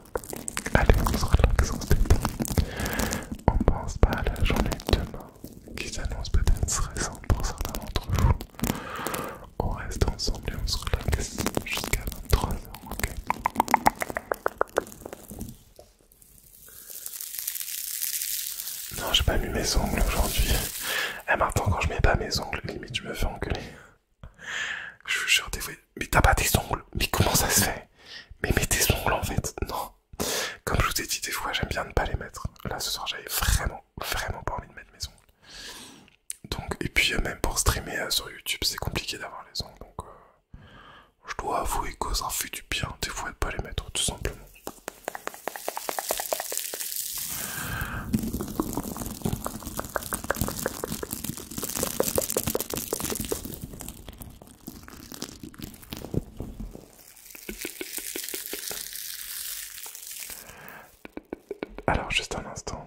Allez, on se relaxe, on se On pense pas à la journée de demain qui s'annonce peut-être stressante pour certains d'entre vous. On reste ensemble et on se relaxe jusqu'à 23h, ok non, j'ai pas mis mes ongles aujourd'hui. Et eh, maintenant, quand je mets pas mes ongles, limite, je me fais engueuler. Je vous jure, des fois, mais t'as pas tes ongles, mais comment ça se fait Mais mets tes ongles en fait, non. Comme je vous ai dit, des fois j'aime bien ne pas les mettre. Là ce soir j'avais vraiment, vraiment pas envie de mettre mes ongles. Donc, et puis euh, même pour streamer euh, sur YouTube, c'est compliqué d'avoir les ongles. Donc, euh, je dois avouer que ça fait du bien des fois de pas les mettre, tout simplement. Alors, juste un instant.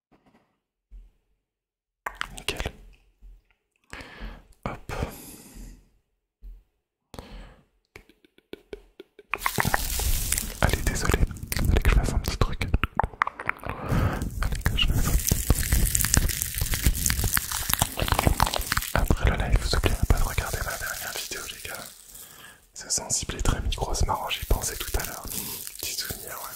Nickel. Hop. Allez, désolé. Allez que je fasse un petit truc. Allez que je fasse Après le live, vous oubliez pas de regarder la dernière vidéo, les gars. C'est sensible et très micro, c'est marrant, j'y pensais tout à l'heure. Petit souvenir, ouais.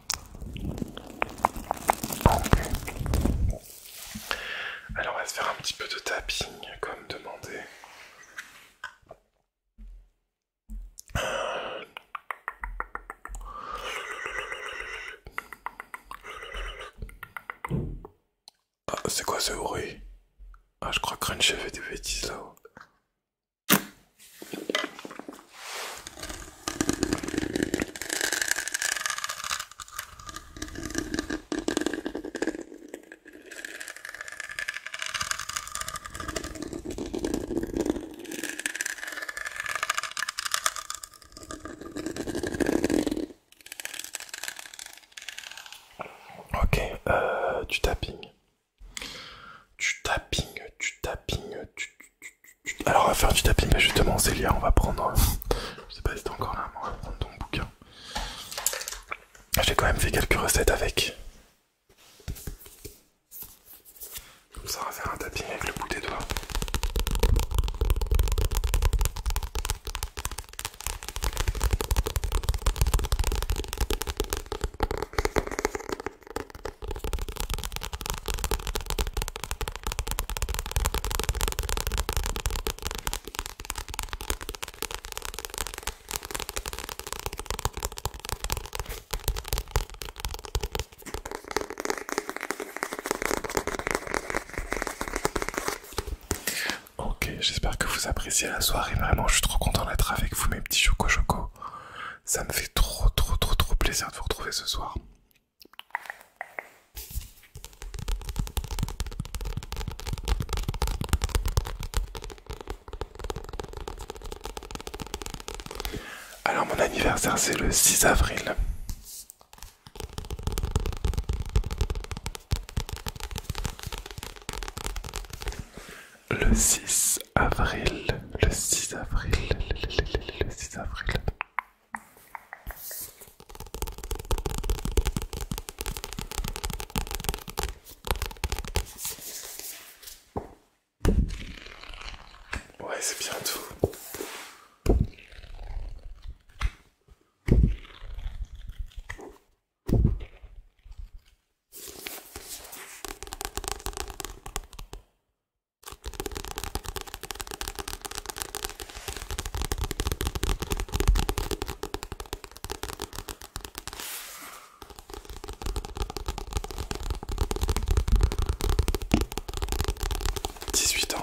Alors on va se faire un petit peu de tapping comme demandé. Ah, c'est quoi ce bruit Ah, je crois que Crunch fait des bêtises là-haut. Ok, euh, du tapping. Tu tapping, tu tapping, tu Alors on va faire du tapping, mais justement Célia, on va prendre... Euh, je sais pas si t'es encore là, mais on va prendre ton bouquin. J'ai quand même fait quelques recettes avec. Comme ça, on va faire un tapping avec le bout des doigts. Ok, j'espère que vous appréciez la soirée. Vraiment, je suis trop content d'être avec vous, mes petits choco choco. Ça me fait trop, trop, trop, trop plaisir de vous retrouver ce soir. Alors mon anniversaire c'est le 6 avril. Le 6 avril, le 6 avril, le 6 avril. Ouais, c'est bientôt. 18 ans.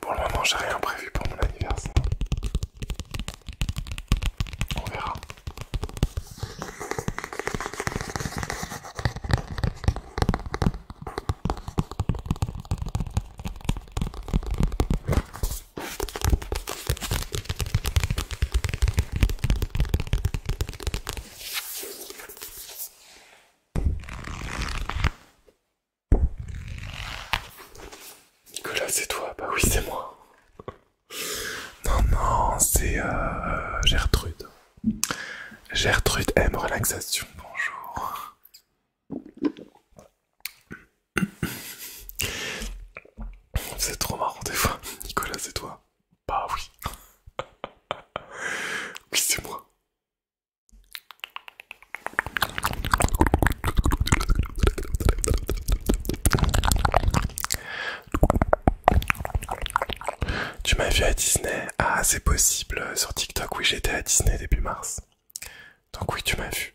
Pour le moment, j'ai rien prévu pour mon anniversaire. On verra. Nicolas, c'est toi Bah oui, c'est moi. Non, non, c'est euh, Gertrude. Gertrude M. Relaxation, bonjour. C'est trop marrant des fois. Nicolas, c'est toi Bah oui. Oui, c'est moi. Tu m'as vu à Disney Ah, c'est possible. Sur TikTok, oui, j'étais à Disney début mars. Donc oui, tu m'as vu.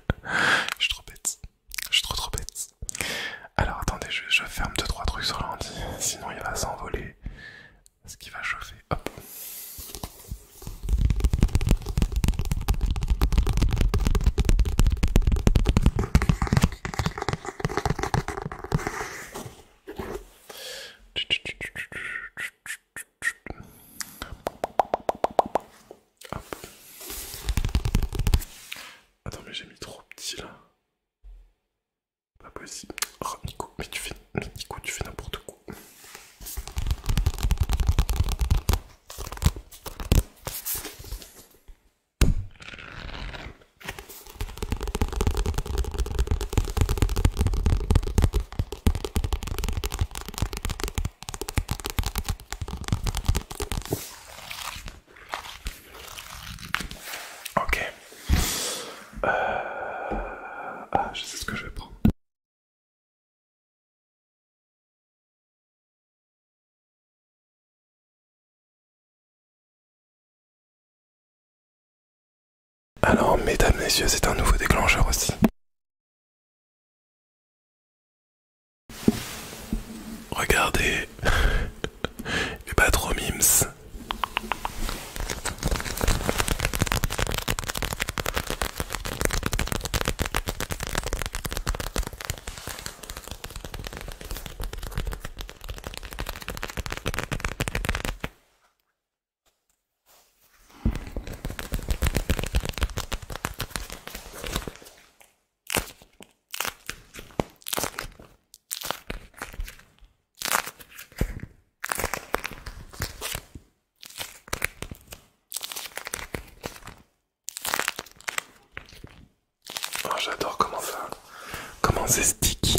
[laughs] je suis trop bête. Je suis trop trop bête. Alors attendez, je, ferme 2-3 trucs sur l'ordi, sinon il va s'envoler. Ce qui va chauffer. Hop. Attends, mais j'ai mis trop petit là. Pas possible. Oh, Nico, mais tu fais, Nico, tu fais n'importe quoi. Ok. Euh, ah, je sais ce que je vais prendre. Alors, mesdames, messieurs, c'est un nouveau déclencheur aussi. Regardez, les [laughs] pas trop mimes. Oh, j'adore comment ça, comment c'est sticky.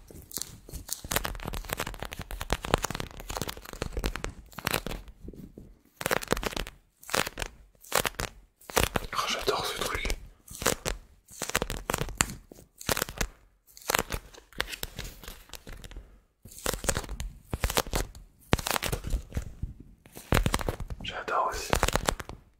Oh, j'adore ce truc. J'adore aussi.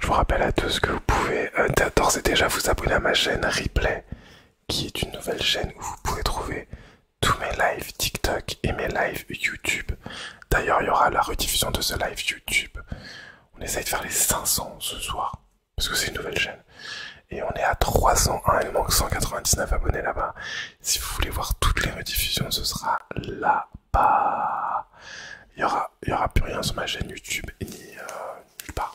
Je vous rappelle à tous que vous pouvez euh, d'ores et déjà vous abonner à ma chaîne Replay, qui est une nouvelle chaîne où vous pouvez trouver tous mes lives TikTok et mes lives YouTube. D'ailleurs, il y aura la rediffusion de ce live YouTube. On essaye de faire les 500 ce soir parce que c'est une nouvelle chaîne. Et on est à 301, il manque 199 abonnés là-bas. Si vous voulez voir toutes les rediffusions, ce sera là-bas. Il n'y aura, y aura plus rien sur ma chaîne YouTube ni euh, nulle part.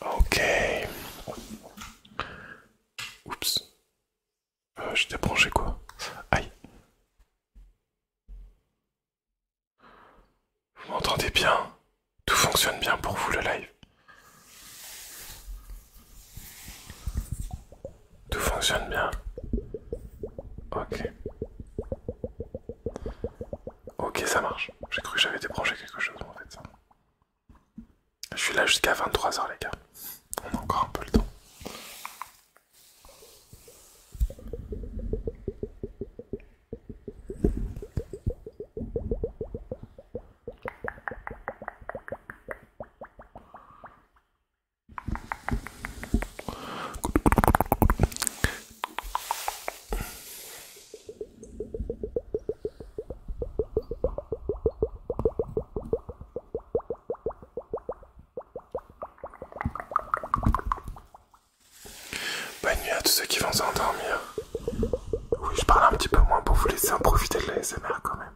Ok. Oups. Euh, J'ai débranché quoi Aïe. Vous m'entendez bien Tout fonctionne bien pour vous le live Tout fonctionne bien Ok. Ok, ça marche. J'ai cru que j'avais débranché quelque chose en fait. Je suis là jusqu'à 23h les gars. On a encore un peu le temps. Bonne nuit à tous ceux qui vont s'endormir. Oui, je parle un petit peu moins pour vous laisser en profiter de la quand même.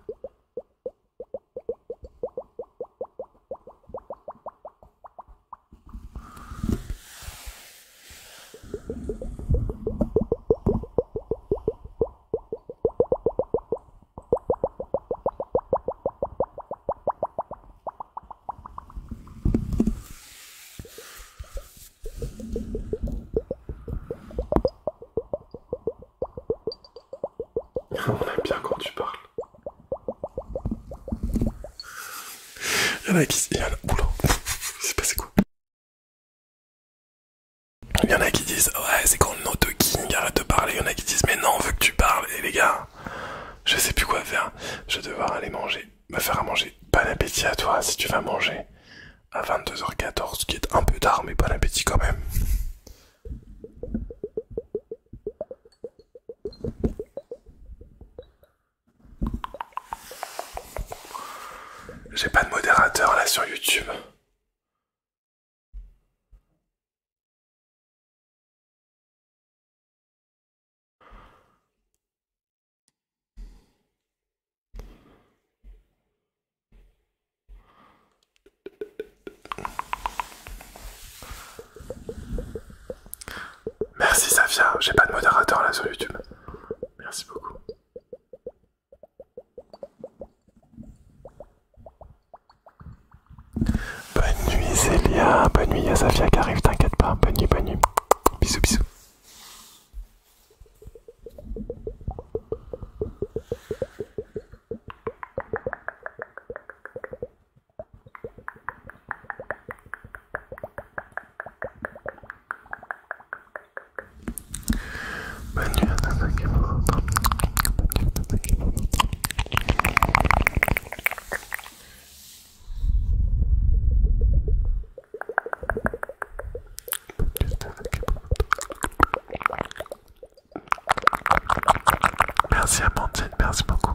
Ah, on aime bien quand tu parles. Il y en a qui. Il y Oula, c'est passé quoi il y en a qui disent ouais c'est quand le no king arrête de parler, il y en a qui disent mais non on veut que tu parles et les gars je sais plus quoi faire, je vais devoir aller manger, me faire à manger, bon appétit à toi si tu vas manger à 22h14 ce qui est un peu tard mais bon appétit quand même. J'ai pas de modérateur là sur YouTube. Merci Safia, j'ai pas de modérateur là sur YouTube. Merci beaucoup. Bonne nuit Célia, bonne nuit à qui arrive, t'inquiète pas, bonne nuit, bonne nuit. Bisous, bisous. Bonne nuit à Nana merci beaucoup.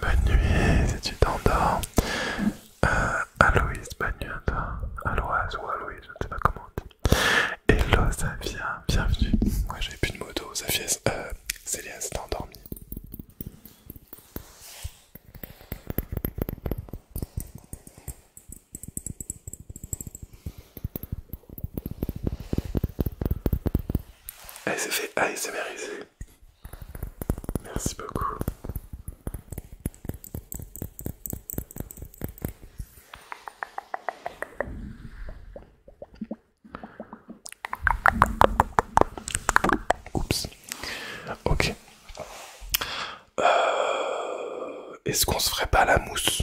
Bonne nuit si tu t'endors. Euh, Aloïse, bonne nuit à toi. Aloise ou Aloïse, je ne sais pas comment Hello Safia, bienvenue. Moi j'avais plus de moto, Safia, euh, Célia s'est endormie. Allez, ah, c'est fait ASMRiser. Merci beaucoup. Oups. Ok. Euh, est-ce qu'on se ferait pas la mousse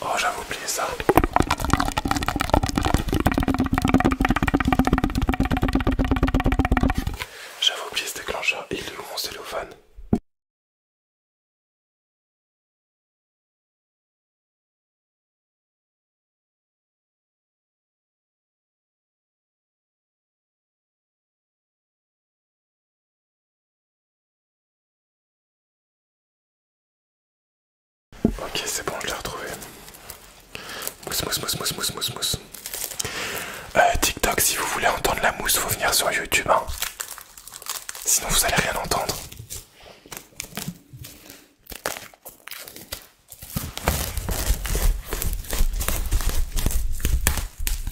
Oh, j'avais oublié ça. J'avais oublié ce déclencheur. et le mon cellophane Ok, c'est bon, je l'ai retrouvé. Mousse, mousse, mousse, mousse, mousse, mousse, mousse. Euh, TikTok, si vous voulez entendre la mousse, faut venir sur YouTube. Hein. Sinon, vous allez rien entendre.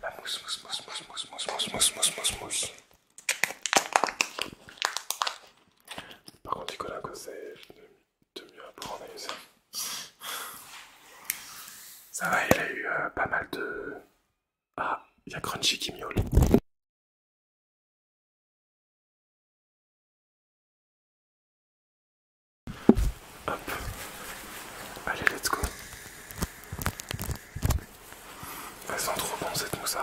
La mousse, mousse, mousse, mousse, mousse, mousse, mousse, mousse, mousse, mousse. Par contre, un conseil de mieux apprendre à user. Ça va, il a eu pas mal de. Ah, il y a Crunchy qui miaule. Hop. Allez, let's go. Ah, Elle sent trop bon cette mousse à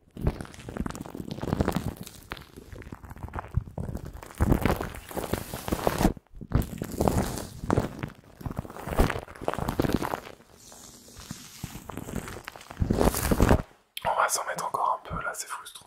On va s'en mettre encore un peu là, c'est frustrant.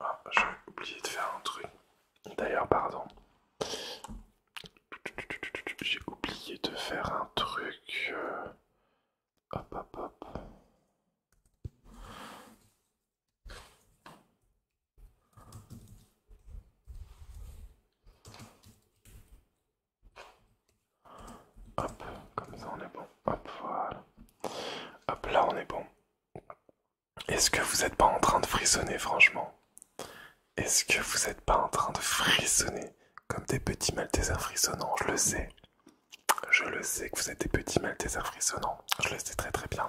Ah, j'ai oublié de faire un truc. D'ailleurs, pardon. J'ai oublié de faire un truc. Euh, hop, hop, hop. Hop, comme ça on est bon. Hop, voilà. Hop, là on est bon. Est-ce que vous n'êtes pas en train de frissonner, franchement Est-ce que vous n'êtes pas en train de frissonner comme des petits Maltesers frissonnants Je le sais. Je le sais que vous êtes des petits Maltesers frissonnants. Je le sais très très bien.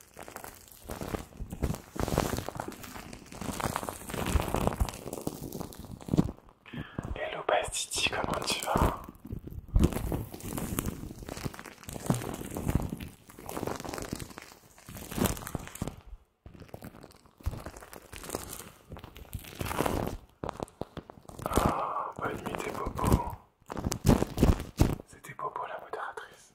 Hello Pastiti, comment tu vas Oh, bonne nuit tes C'était Popo la modératrice.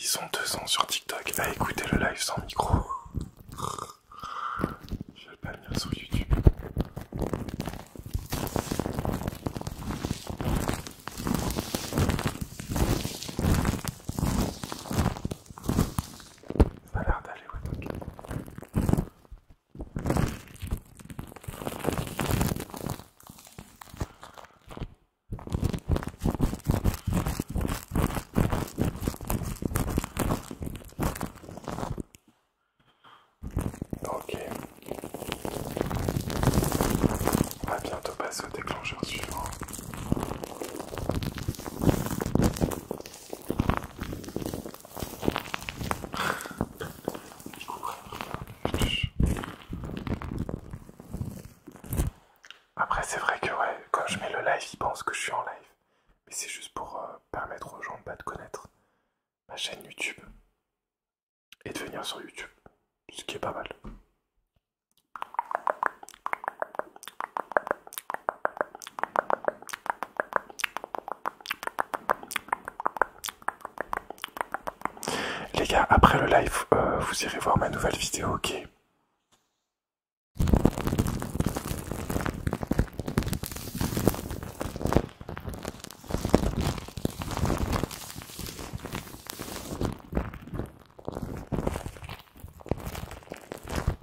Ils sont ans sur TikTok à écouter le live sans micro. Je vais pas venir sur YouTube. Ça a l'air d'aller, ouais, ok. Ok. On va bientôt passer au déclencheur suivant. Après, c'est vrai que ouais, quand je mets le live, ils pensent que je suis en live. Mais c'est juste pour euh, permettre aux gens pas de connaître ma chaîne YouTube et de venir sur YouTube, ce qui est pas mal. Les gars, après le live, euh, vous irez voir ma nouvelle vidéo, ok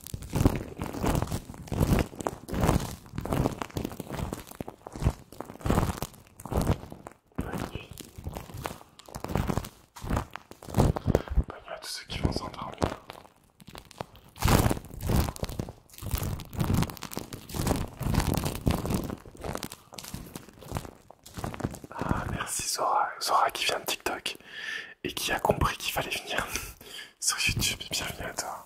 Bonne nuit. à tous ceux qui vont s'endormir. Ah, merci Zora, Zora qui vient de TikTok et qui a compris qu'il fallait venir [laughs] sur YouTube. Bienvenue à toi.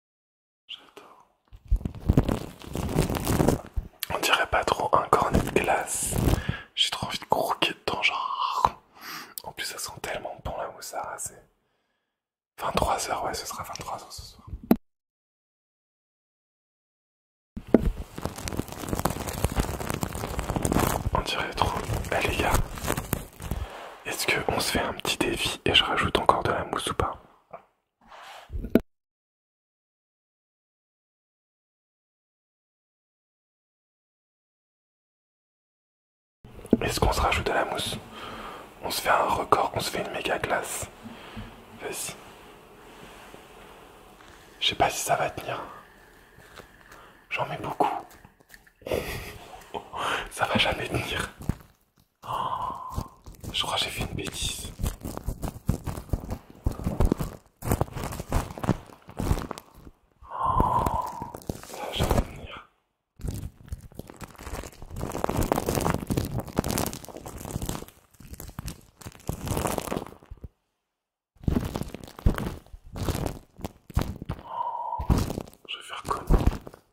J'adore. On dirait pas trop un cornet de glace. J'ai trop envie de croquer dedans, genre. En plus, ça sent tellement bon la moussara. C'est 23h, ouais, ce sera 23h ce soir. On dirait trop. Eh les gars, est-ce qu'on se fait un petit défi et je rajoute encore de la mousse ou pas est-ce qu'on se rajoute de la mousse On se fait un record, on se fait une méga glace. Vas-y. Je sais pas si ça va tenir. J'en mets beaucoup. [laughs] ça va jamais tenir. Oh, je crois j'ai fait une bêtise. Ah, je vais venir. je vais faire comme.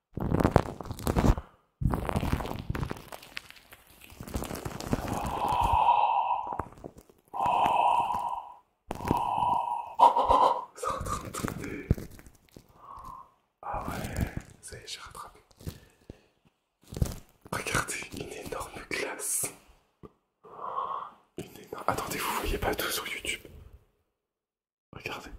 Oh, c'est en train de tourner. Ah ouais, ça y est, j'ai rattrapé. Regardez, une énorme glace. Attendez, vous voyez pas tout sur YouTube Regardez.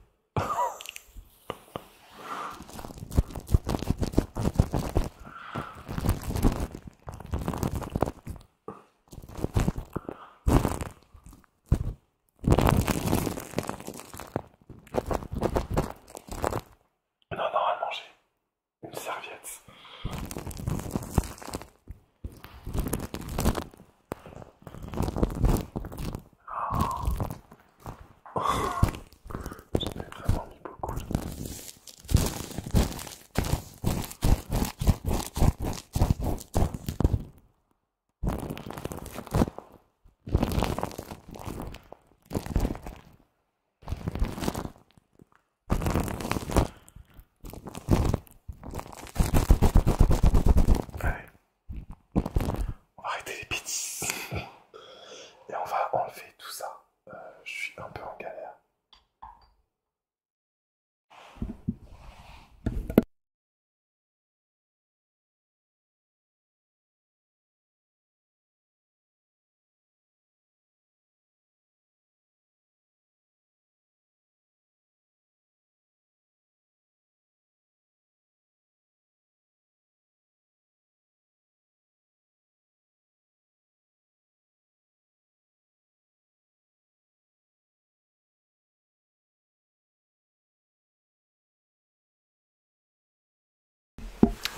Non, non, à manger. Une serviette. Oh. vraiment beaucoup. On va arrêter les bêtises. Et on va enlever tout ça. Euh, je suis un peu en galère.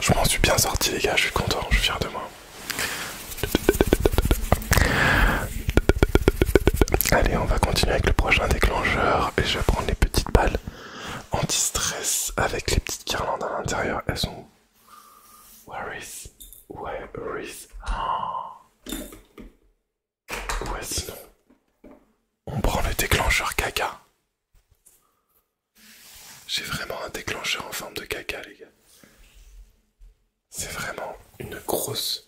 Je m'en suis bien sorti les gars, je suis content, je suis fier de moi. Allez, on va continuer avec le prochain déclencheur et je vais prendre les petites balles en stress avec les petites guirlandes à l'intérieur. Elles sont... Where is... Where is... Ah Ouais, sinon... On prend le déclencheur caca. J'ai vraiment un déclencheur en forme de caca, les gars. C'est vraiment une grosse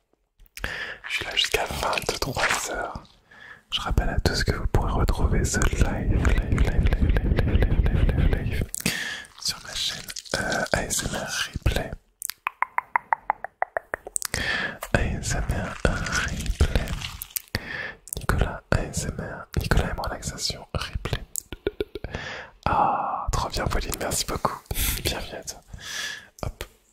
Je suis là jusqu'à 23h. Je rappelle à tous que vous pourrez retrouver ce live, live, live, live, live, live, live, live, live sur ma chaîne ASMR Replay. ASMR Replay. Nicolas ASMR. Nicolas M relaxation Replay. Ah, trop bien Pauline, merci beaucoup. Bienvenue à Hop,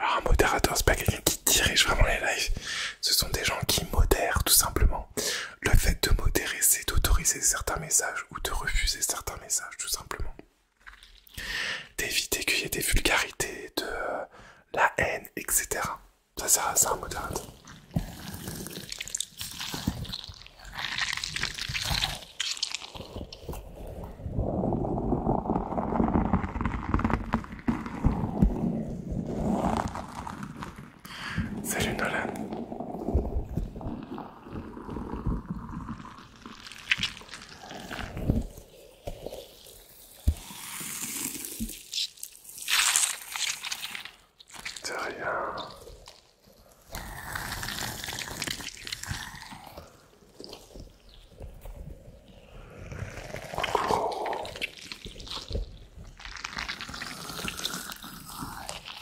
Alors un modérateur, c'est pas quelqu'un qui dirige vraiment les lives, ce sont des gens qui modèrent tout simplement le fait de modérer, c'est d'autoriser certains messages ou de refuser certains messages, tout simplement. D'éviter qu'il y ait des vulgarités, de euh, la haine, etc. Ça c'est un modérateur. Salut Nolan. C'est rien.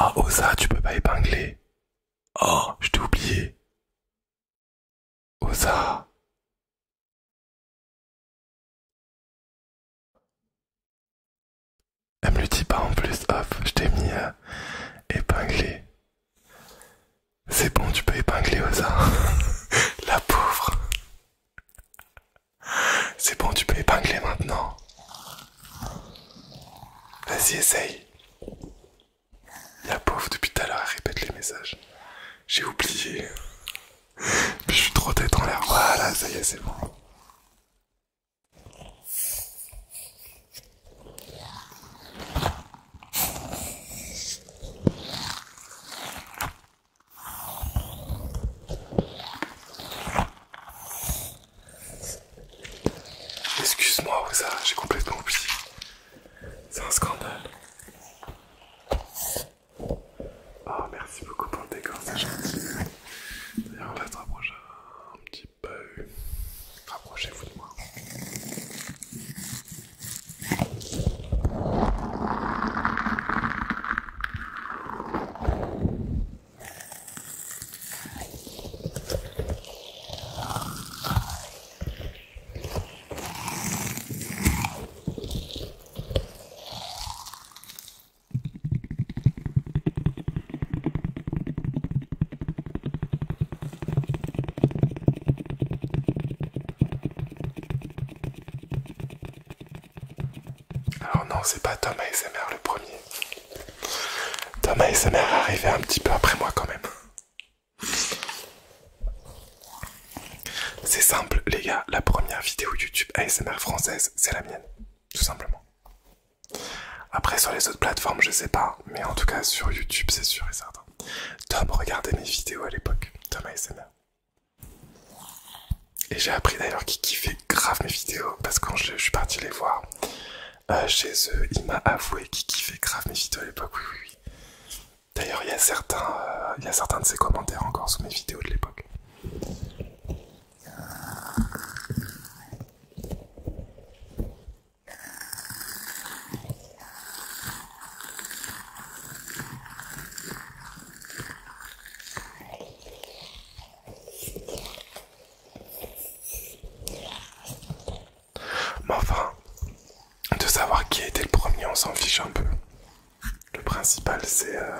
Ah, oh, Osa, tu peux pas épingler. Oh, je t'ai oublié. Osa. Elle me le dit pas en plus, hop, je t'ai mis à euh, épingler. C'est bon, tu peux épingler Oza [laughs] La pauvre. C'est bon, tu peux épingler maintenant. Vas-y, essaye. La pauvre, depuis tout à l'heure, elle répète les messages. J'ai oublié. Puis je suis trop tête en l'air. Voilà, ah ça y est, c'est bon. Excuse-moi, ça, j'ai complètement oublié. C'est un scandale. oh, merci beaucoup pour le décor, c'est gentil. D'ailleurs, on va se rapprocher un petit peu pas Rapprochez-vous de moi. Alors non, c'est pas Tom ASMR le premier. Tom ASMR est arrivé un petit peu après moi quand même. C'est simple les gars, la première vidéo YouTube ASMR française, c'est la mienne, tout simplement. Après, sur les autres plateformes, je sais pas, mais en tout cas, sur YouTube, c'est sûr et certain. Tom regardait mes vidéos à l'époque, Tom ASMR. Et j'ai appris d'ailleurs qu'il kiffait grave mes vidéos, parce que quand je, suis parti les voir euh, chez eux, il m'a avoué qu'il kiffait grave mes vidéos à l'époque, oui, oui, oui. D'ailleurs, il, y a certains euh, de ses commentaires encore sous mes vidéos de l'époque. Mais enfin, de savoir qui a été le premier, on s'en fiche un peu. Le principal, c'est euh,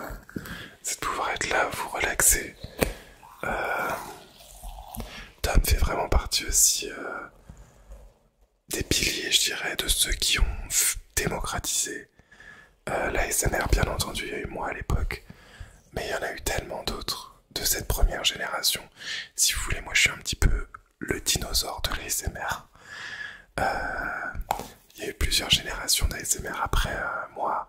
c'est de pouvoir être là, vous relaxer. Euh, Tom fait vraiment partie aussi euh, des piliers, je dirais, de ceux qui ont démocratisé l'ASMR. Euh, la bien entendu, il y a eu moi à l'époque, mais il y en a eu tellement d'autres de cette première génération. Si vous voulez, moi je suis un petit peu le dinosaure de l'ASMR. Il y a eu plusieurs générations d'ASMR après moi,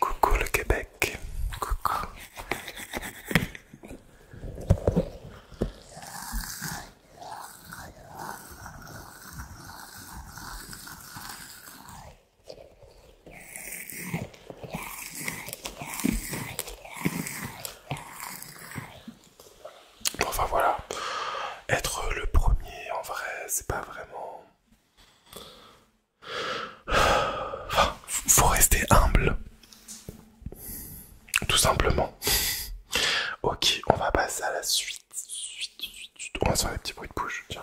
Coucou le Québec. Coucou. Enfin voilà, être le premier en vrai, c'est pas vraiment faut rester humble. Tout simplement. Ok, on va passer à la suite. On va faire des petits bruits de bouche, tiens.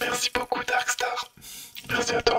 Merci beaucoup Darkstar. Merci à toi.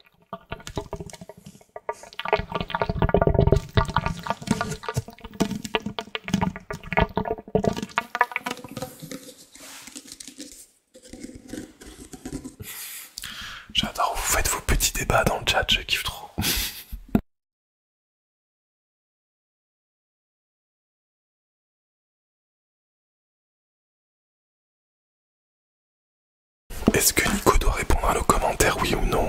J'adore, vous faites vos petits débats dans le chat, je kiffe trop. Est-ce que Nico doit répondre à nos commentaires, oui ou non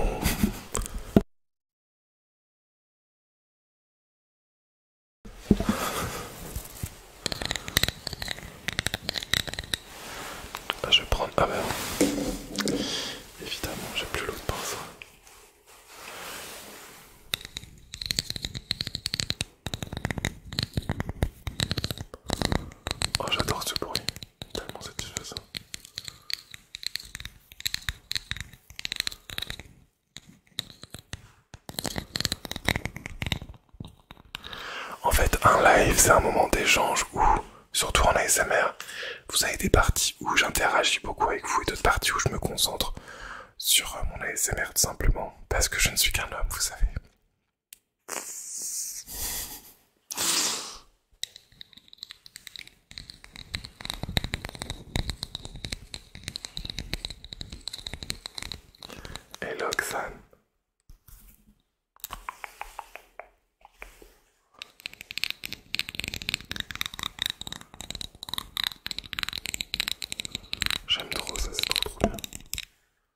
ah, Je vais prendre... Ah ben Évidemment, j'ai plus l'autre ça. Oh, j'adore ce bruit, tellement satisfaisant. En fait, un live, c'est un moment d'échange où, surtout en ASMR, vous avez des parties où j'interagis beaucoup avec vous et d'autres parties où je me concentre sur euh, mon ASMR tout simplement, parce que je ne suis qu'un homme, vous savez. Hello l'oxane, J'aime trop ça, c'est trop trop bien.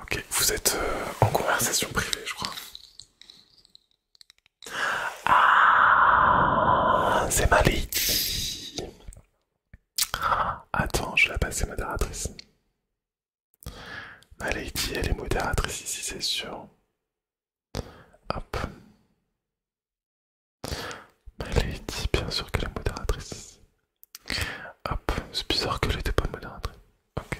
Ok, vous êtes euh, en conversation privée, je crois. Ah, c'est Malik. Attends, je la passe à modératrice. Ma lady, elle est modératrice ici, c'est sûr. Hop. Ma bien sûr qu'elle est modératrice. Hop, c'est bizarre qu'elle n'était pas modératrice. Ok.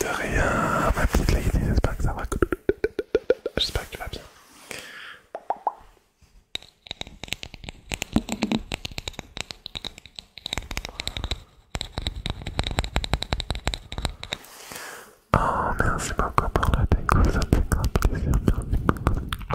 De rien, ma petite lady, j'espère que ça va. J'espère que tu vas bien. Oh, merci beaucoup pour la déco, ça fait grand plaisir. Merci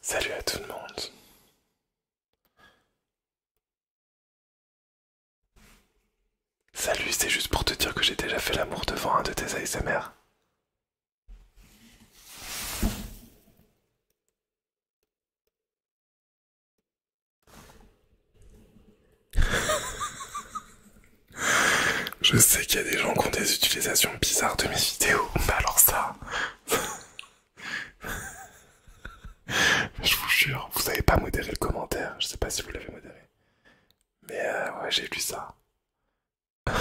Salut à tout le monde. Salut, c'est juste pour te dire que j'ai déjà fait l'amour devant un de tes ASMR. [laughs] Je sais qu'il y a des gens qui ont des utilisations bizarres de mes vidéos, mais alors ça... [laughs] je vous jure, vous n'avez pas modéré le commentaire. Je sais pas si vous l'avez modéré. Mais euh, ouais, j'ai vu ça. [laughs]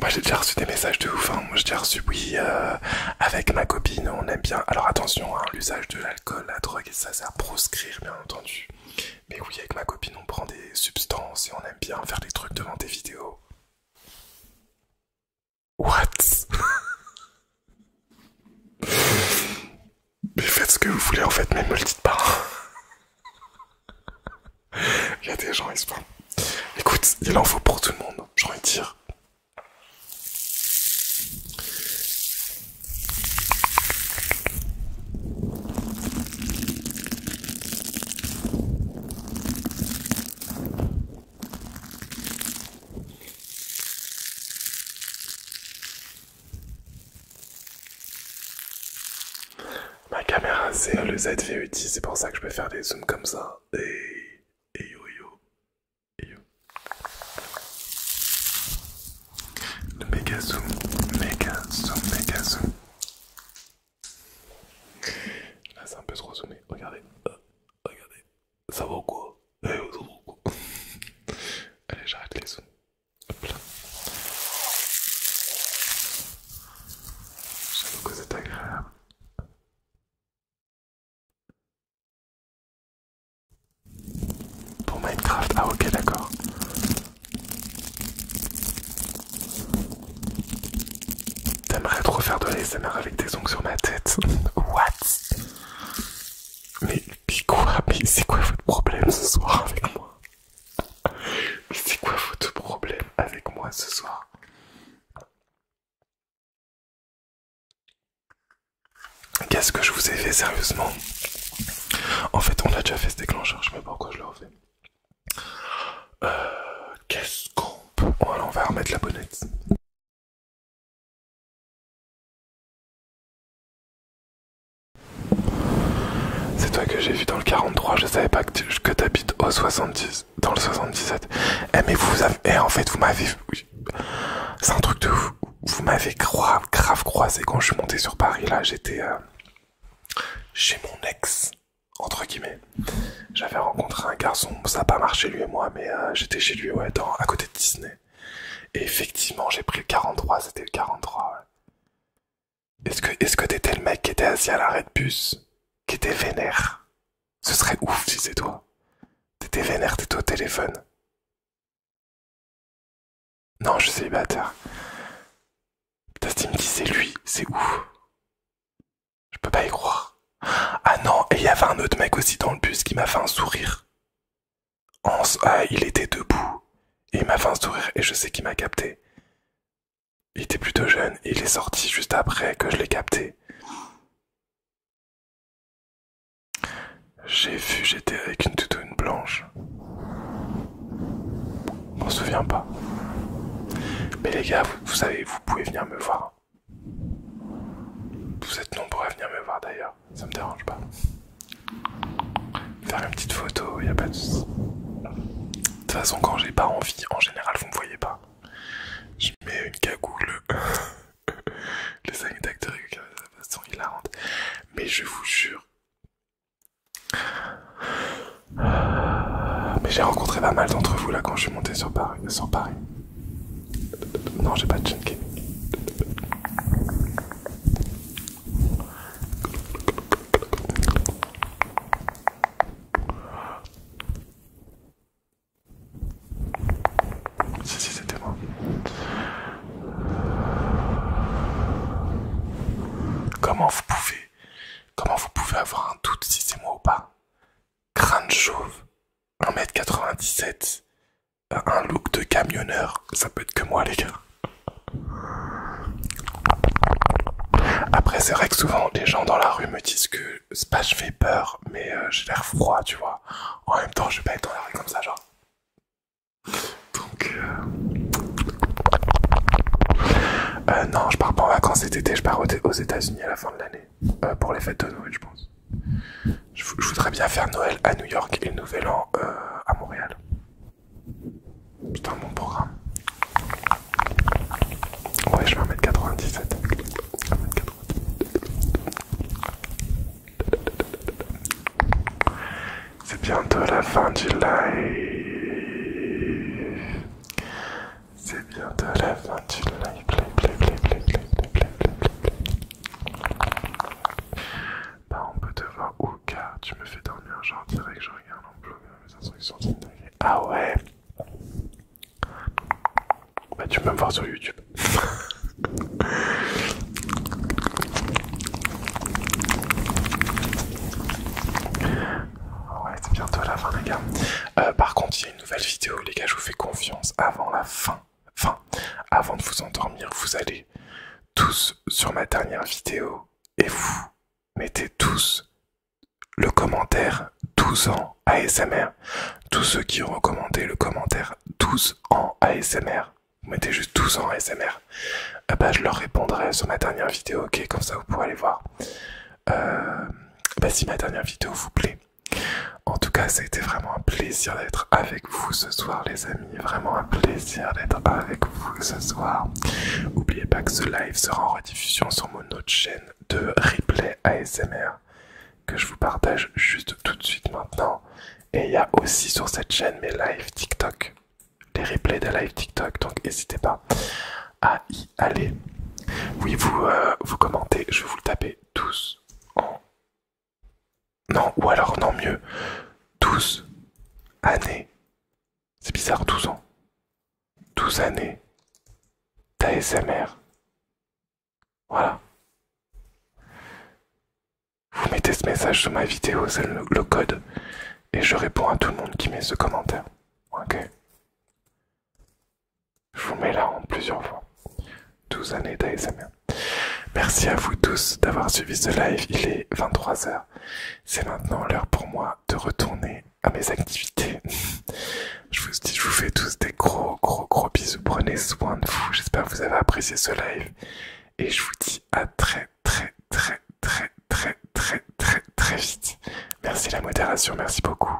Moi j'ai déjà reçu des messages de ouf, hein. moi j'ai déjà reçu oui euh, avec ma copine on aime bien, alors attention hein, l'usage de l'alcool, la drogue ça c'est à proscrire bien entendu, mais oui avec ma copine on prend des substances et on aime bien faire des trucs devant des vidéos. What Mais faites ce que vous voulez en fait, mais me le dites pas. il y a des gens, ils se Écoute, il en faut pour tout le monde, j'ai envie de dire. Ma caméra c'est le ZVUT, 10 c'est pour ça que je peux faire des zooms comme ça. Et, et yo yo. yo. Le méga zoom, méga zoom, méga zoom. Là, c'est un peu trop Regardez. Euh, regardez. Ça vaut quoi eh, [laughs] Allez, j'arrête les zooms. J'avoue que c'est agréable. Pour Minecraft, ah ok d'accord. T'aimerais trop faire de laisser-mère avec tes ongles sur ma tête [laughs] What Mais quoi c'est quoi votre problème ce soir avec moi C'est quoi votre problème avec moi ce soir Qu'est-ce que je vous ai fait sérieusement En fait on a déjà fait ce déclencheur, je sais pas pourquoi je l'ai refais. Euh, qu'est-ce qu'on peut... Oh, alors on va remettre la bonnette. C'est toi que j'ai vu dans le 43, je savais pas que t'habites au 70, dans le 77. Eh mais vous avez... Eh en fait vous m'avez... C'est un truc de vous. Vous m'avez grave, croisé quand je suis monté sur Paris là, j'étais... Euh, chez mon ex entre guillemets. J'avais rencontré un garçon, ça n'a pas marché lui et moi, mais euh, j'étais chez lui, ouais, à côté de Disney. Et effectivement, j'ai pris le 43, c'était le 43, Est-ce que est-ce t'étais le mec qui était assis à l'arrêt de bus, qui était vénère Ce serait ouf si c'est toi. T'étais vénère, t'étais au téléphone. Non, je suis célibataire. T'estimes qui dit c'est lui, c'est ouf. Je peux pas y croire. Ah non, et il y avait un autre mec aussi dans le bus qui m'a fait un sourire. Ah, il était debout. Et il m'a fait un sourire et je sais qu'il m'a capté. Il était plutôt jeune et il est sorti juste après que je l'ai capté. J'ai vu, j'étais avec une toutoune blanche. Je m'en souviens pas. Mais les gars, vous savez, vous pouvez venir me voir. Vous êtes nombreux à venir me voir d'ailleurs, ça me dérange pas. Faire une petite photo, y a pas de De toute façon, quand j'ai pas envie, en général, vous me voyez pas. Je mets une cagoule. [laughs] Les d'acteurs sont hilarantes. Mais je vous jure. Mais j'ai rencontré pas mal d'entre vous là quand je suis monté sur Paris. Sur Paris. Non, j'ai pas de chaîne Si, c'était moi. Comment vous pouvez, comment vous pouvez avoir un doute si c'est moi ou pas crâne chauve, 1m97, euh, un look de camionneur, ça peut être que moi les gars. Après c'est vrai que souvent les gens dans la rue me disent que c'est pas je fais peur mais euh, j'ai l'air froid tu vois. En même temps je vais pas être dans la rue comme ça genre. Donc euh... euh non je pars pas en vacances cet été, je pars aux États-Unis à la fin de l'année. Euh, pour les fêtes de Noël, je pense. Je, voudrais bien faire Noël à New York et le Nouvel An euh, à Montréal. C'est un bon programme. Ouais, je vais 97 C'est bientôt la fin du live. C'est bientôt la fin du live. Play, Bah, on peut te voir ouka, tu me fais dormir genre direct, je regarde en blog mes instructions. Ah ouais Bah, tu peux me voir sur YouTube. Ouais, c'est bientôt la fin, les gars. par contre, nouvelle vidéo, les gars, je vous fais confiance. Avant la fin, avant de vous endormir, vous allez tous sur ma dernière vidéo et vous mettez tous le commentaire 12 ans ASMR. Tous ceux qui ont recommandé le commentaire 12 ans ASMR, vous mettez juste 12 ans ASMR. bah, eh ben, je leur répondrai sur ma dernière vidéo, ok, comme ça vous pourrez aller voir. Euh, bah, si ma dernière vidéo vous plaît, en tout cas, ça a été vraiment un plaisir d'être avec vous ce soir, les amis. Vraiment un plaisir d'être avec vous ce soir. N'oubliez pas que ce live sera en rediffusion sur mon autre chaîne de replay ASMR que je vous partage juste tout de suite maintenant. Et il y a aussi sur cette chaîne mes lives TikTok, les replays des lives TikTok. Donc n'hésitez pas à y aller. Oui, vous, euh, vous commentez, je vous le taper 12 ans. Non, ou alors non mieux, 12 années. C'est bizarre, 12 ans. 12 années d'ASMR. Voilà. Vous mettez ce message sur ma vidéo, c'est le, code, et je réponds à tout le monde qui met ce commentaire. Ok. Je vous mets là en plusieurs fois. 12 années d'ASMR. Merci à vous tous d'avoir suivi ce live. Il est 23h. C'est maintenant l'heure pour moi de retourner à mes activités. [laughs] je vous dis, je vous fais tous des gros, gros, gros bisous. Prenez soin de vous. J'espère que vous avez apprécié ce live. Et je vous dis à très, très, très, très, très, très, très, très vite. Merci la modération. Merci beaucoup.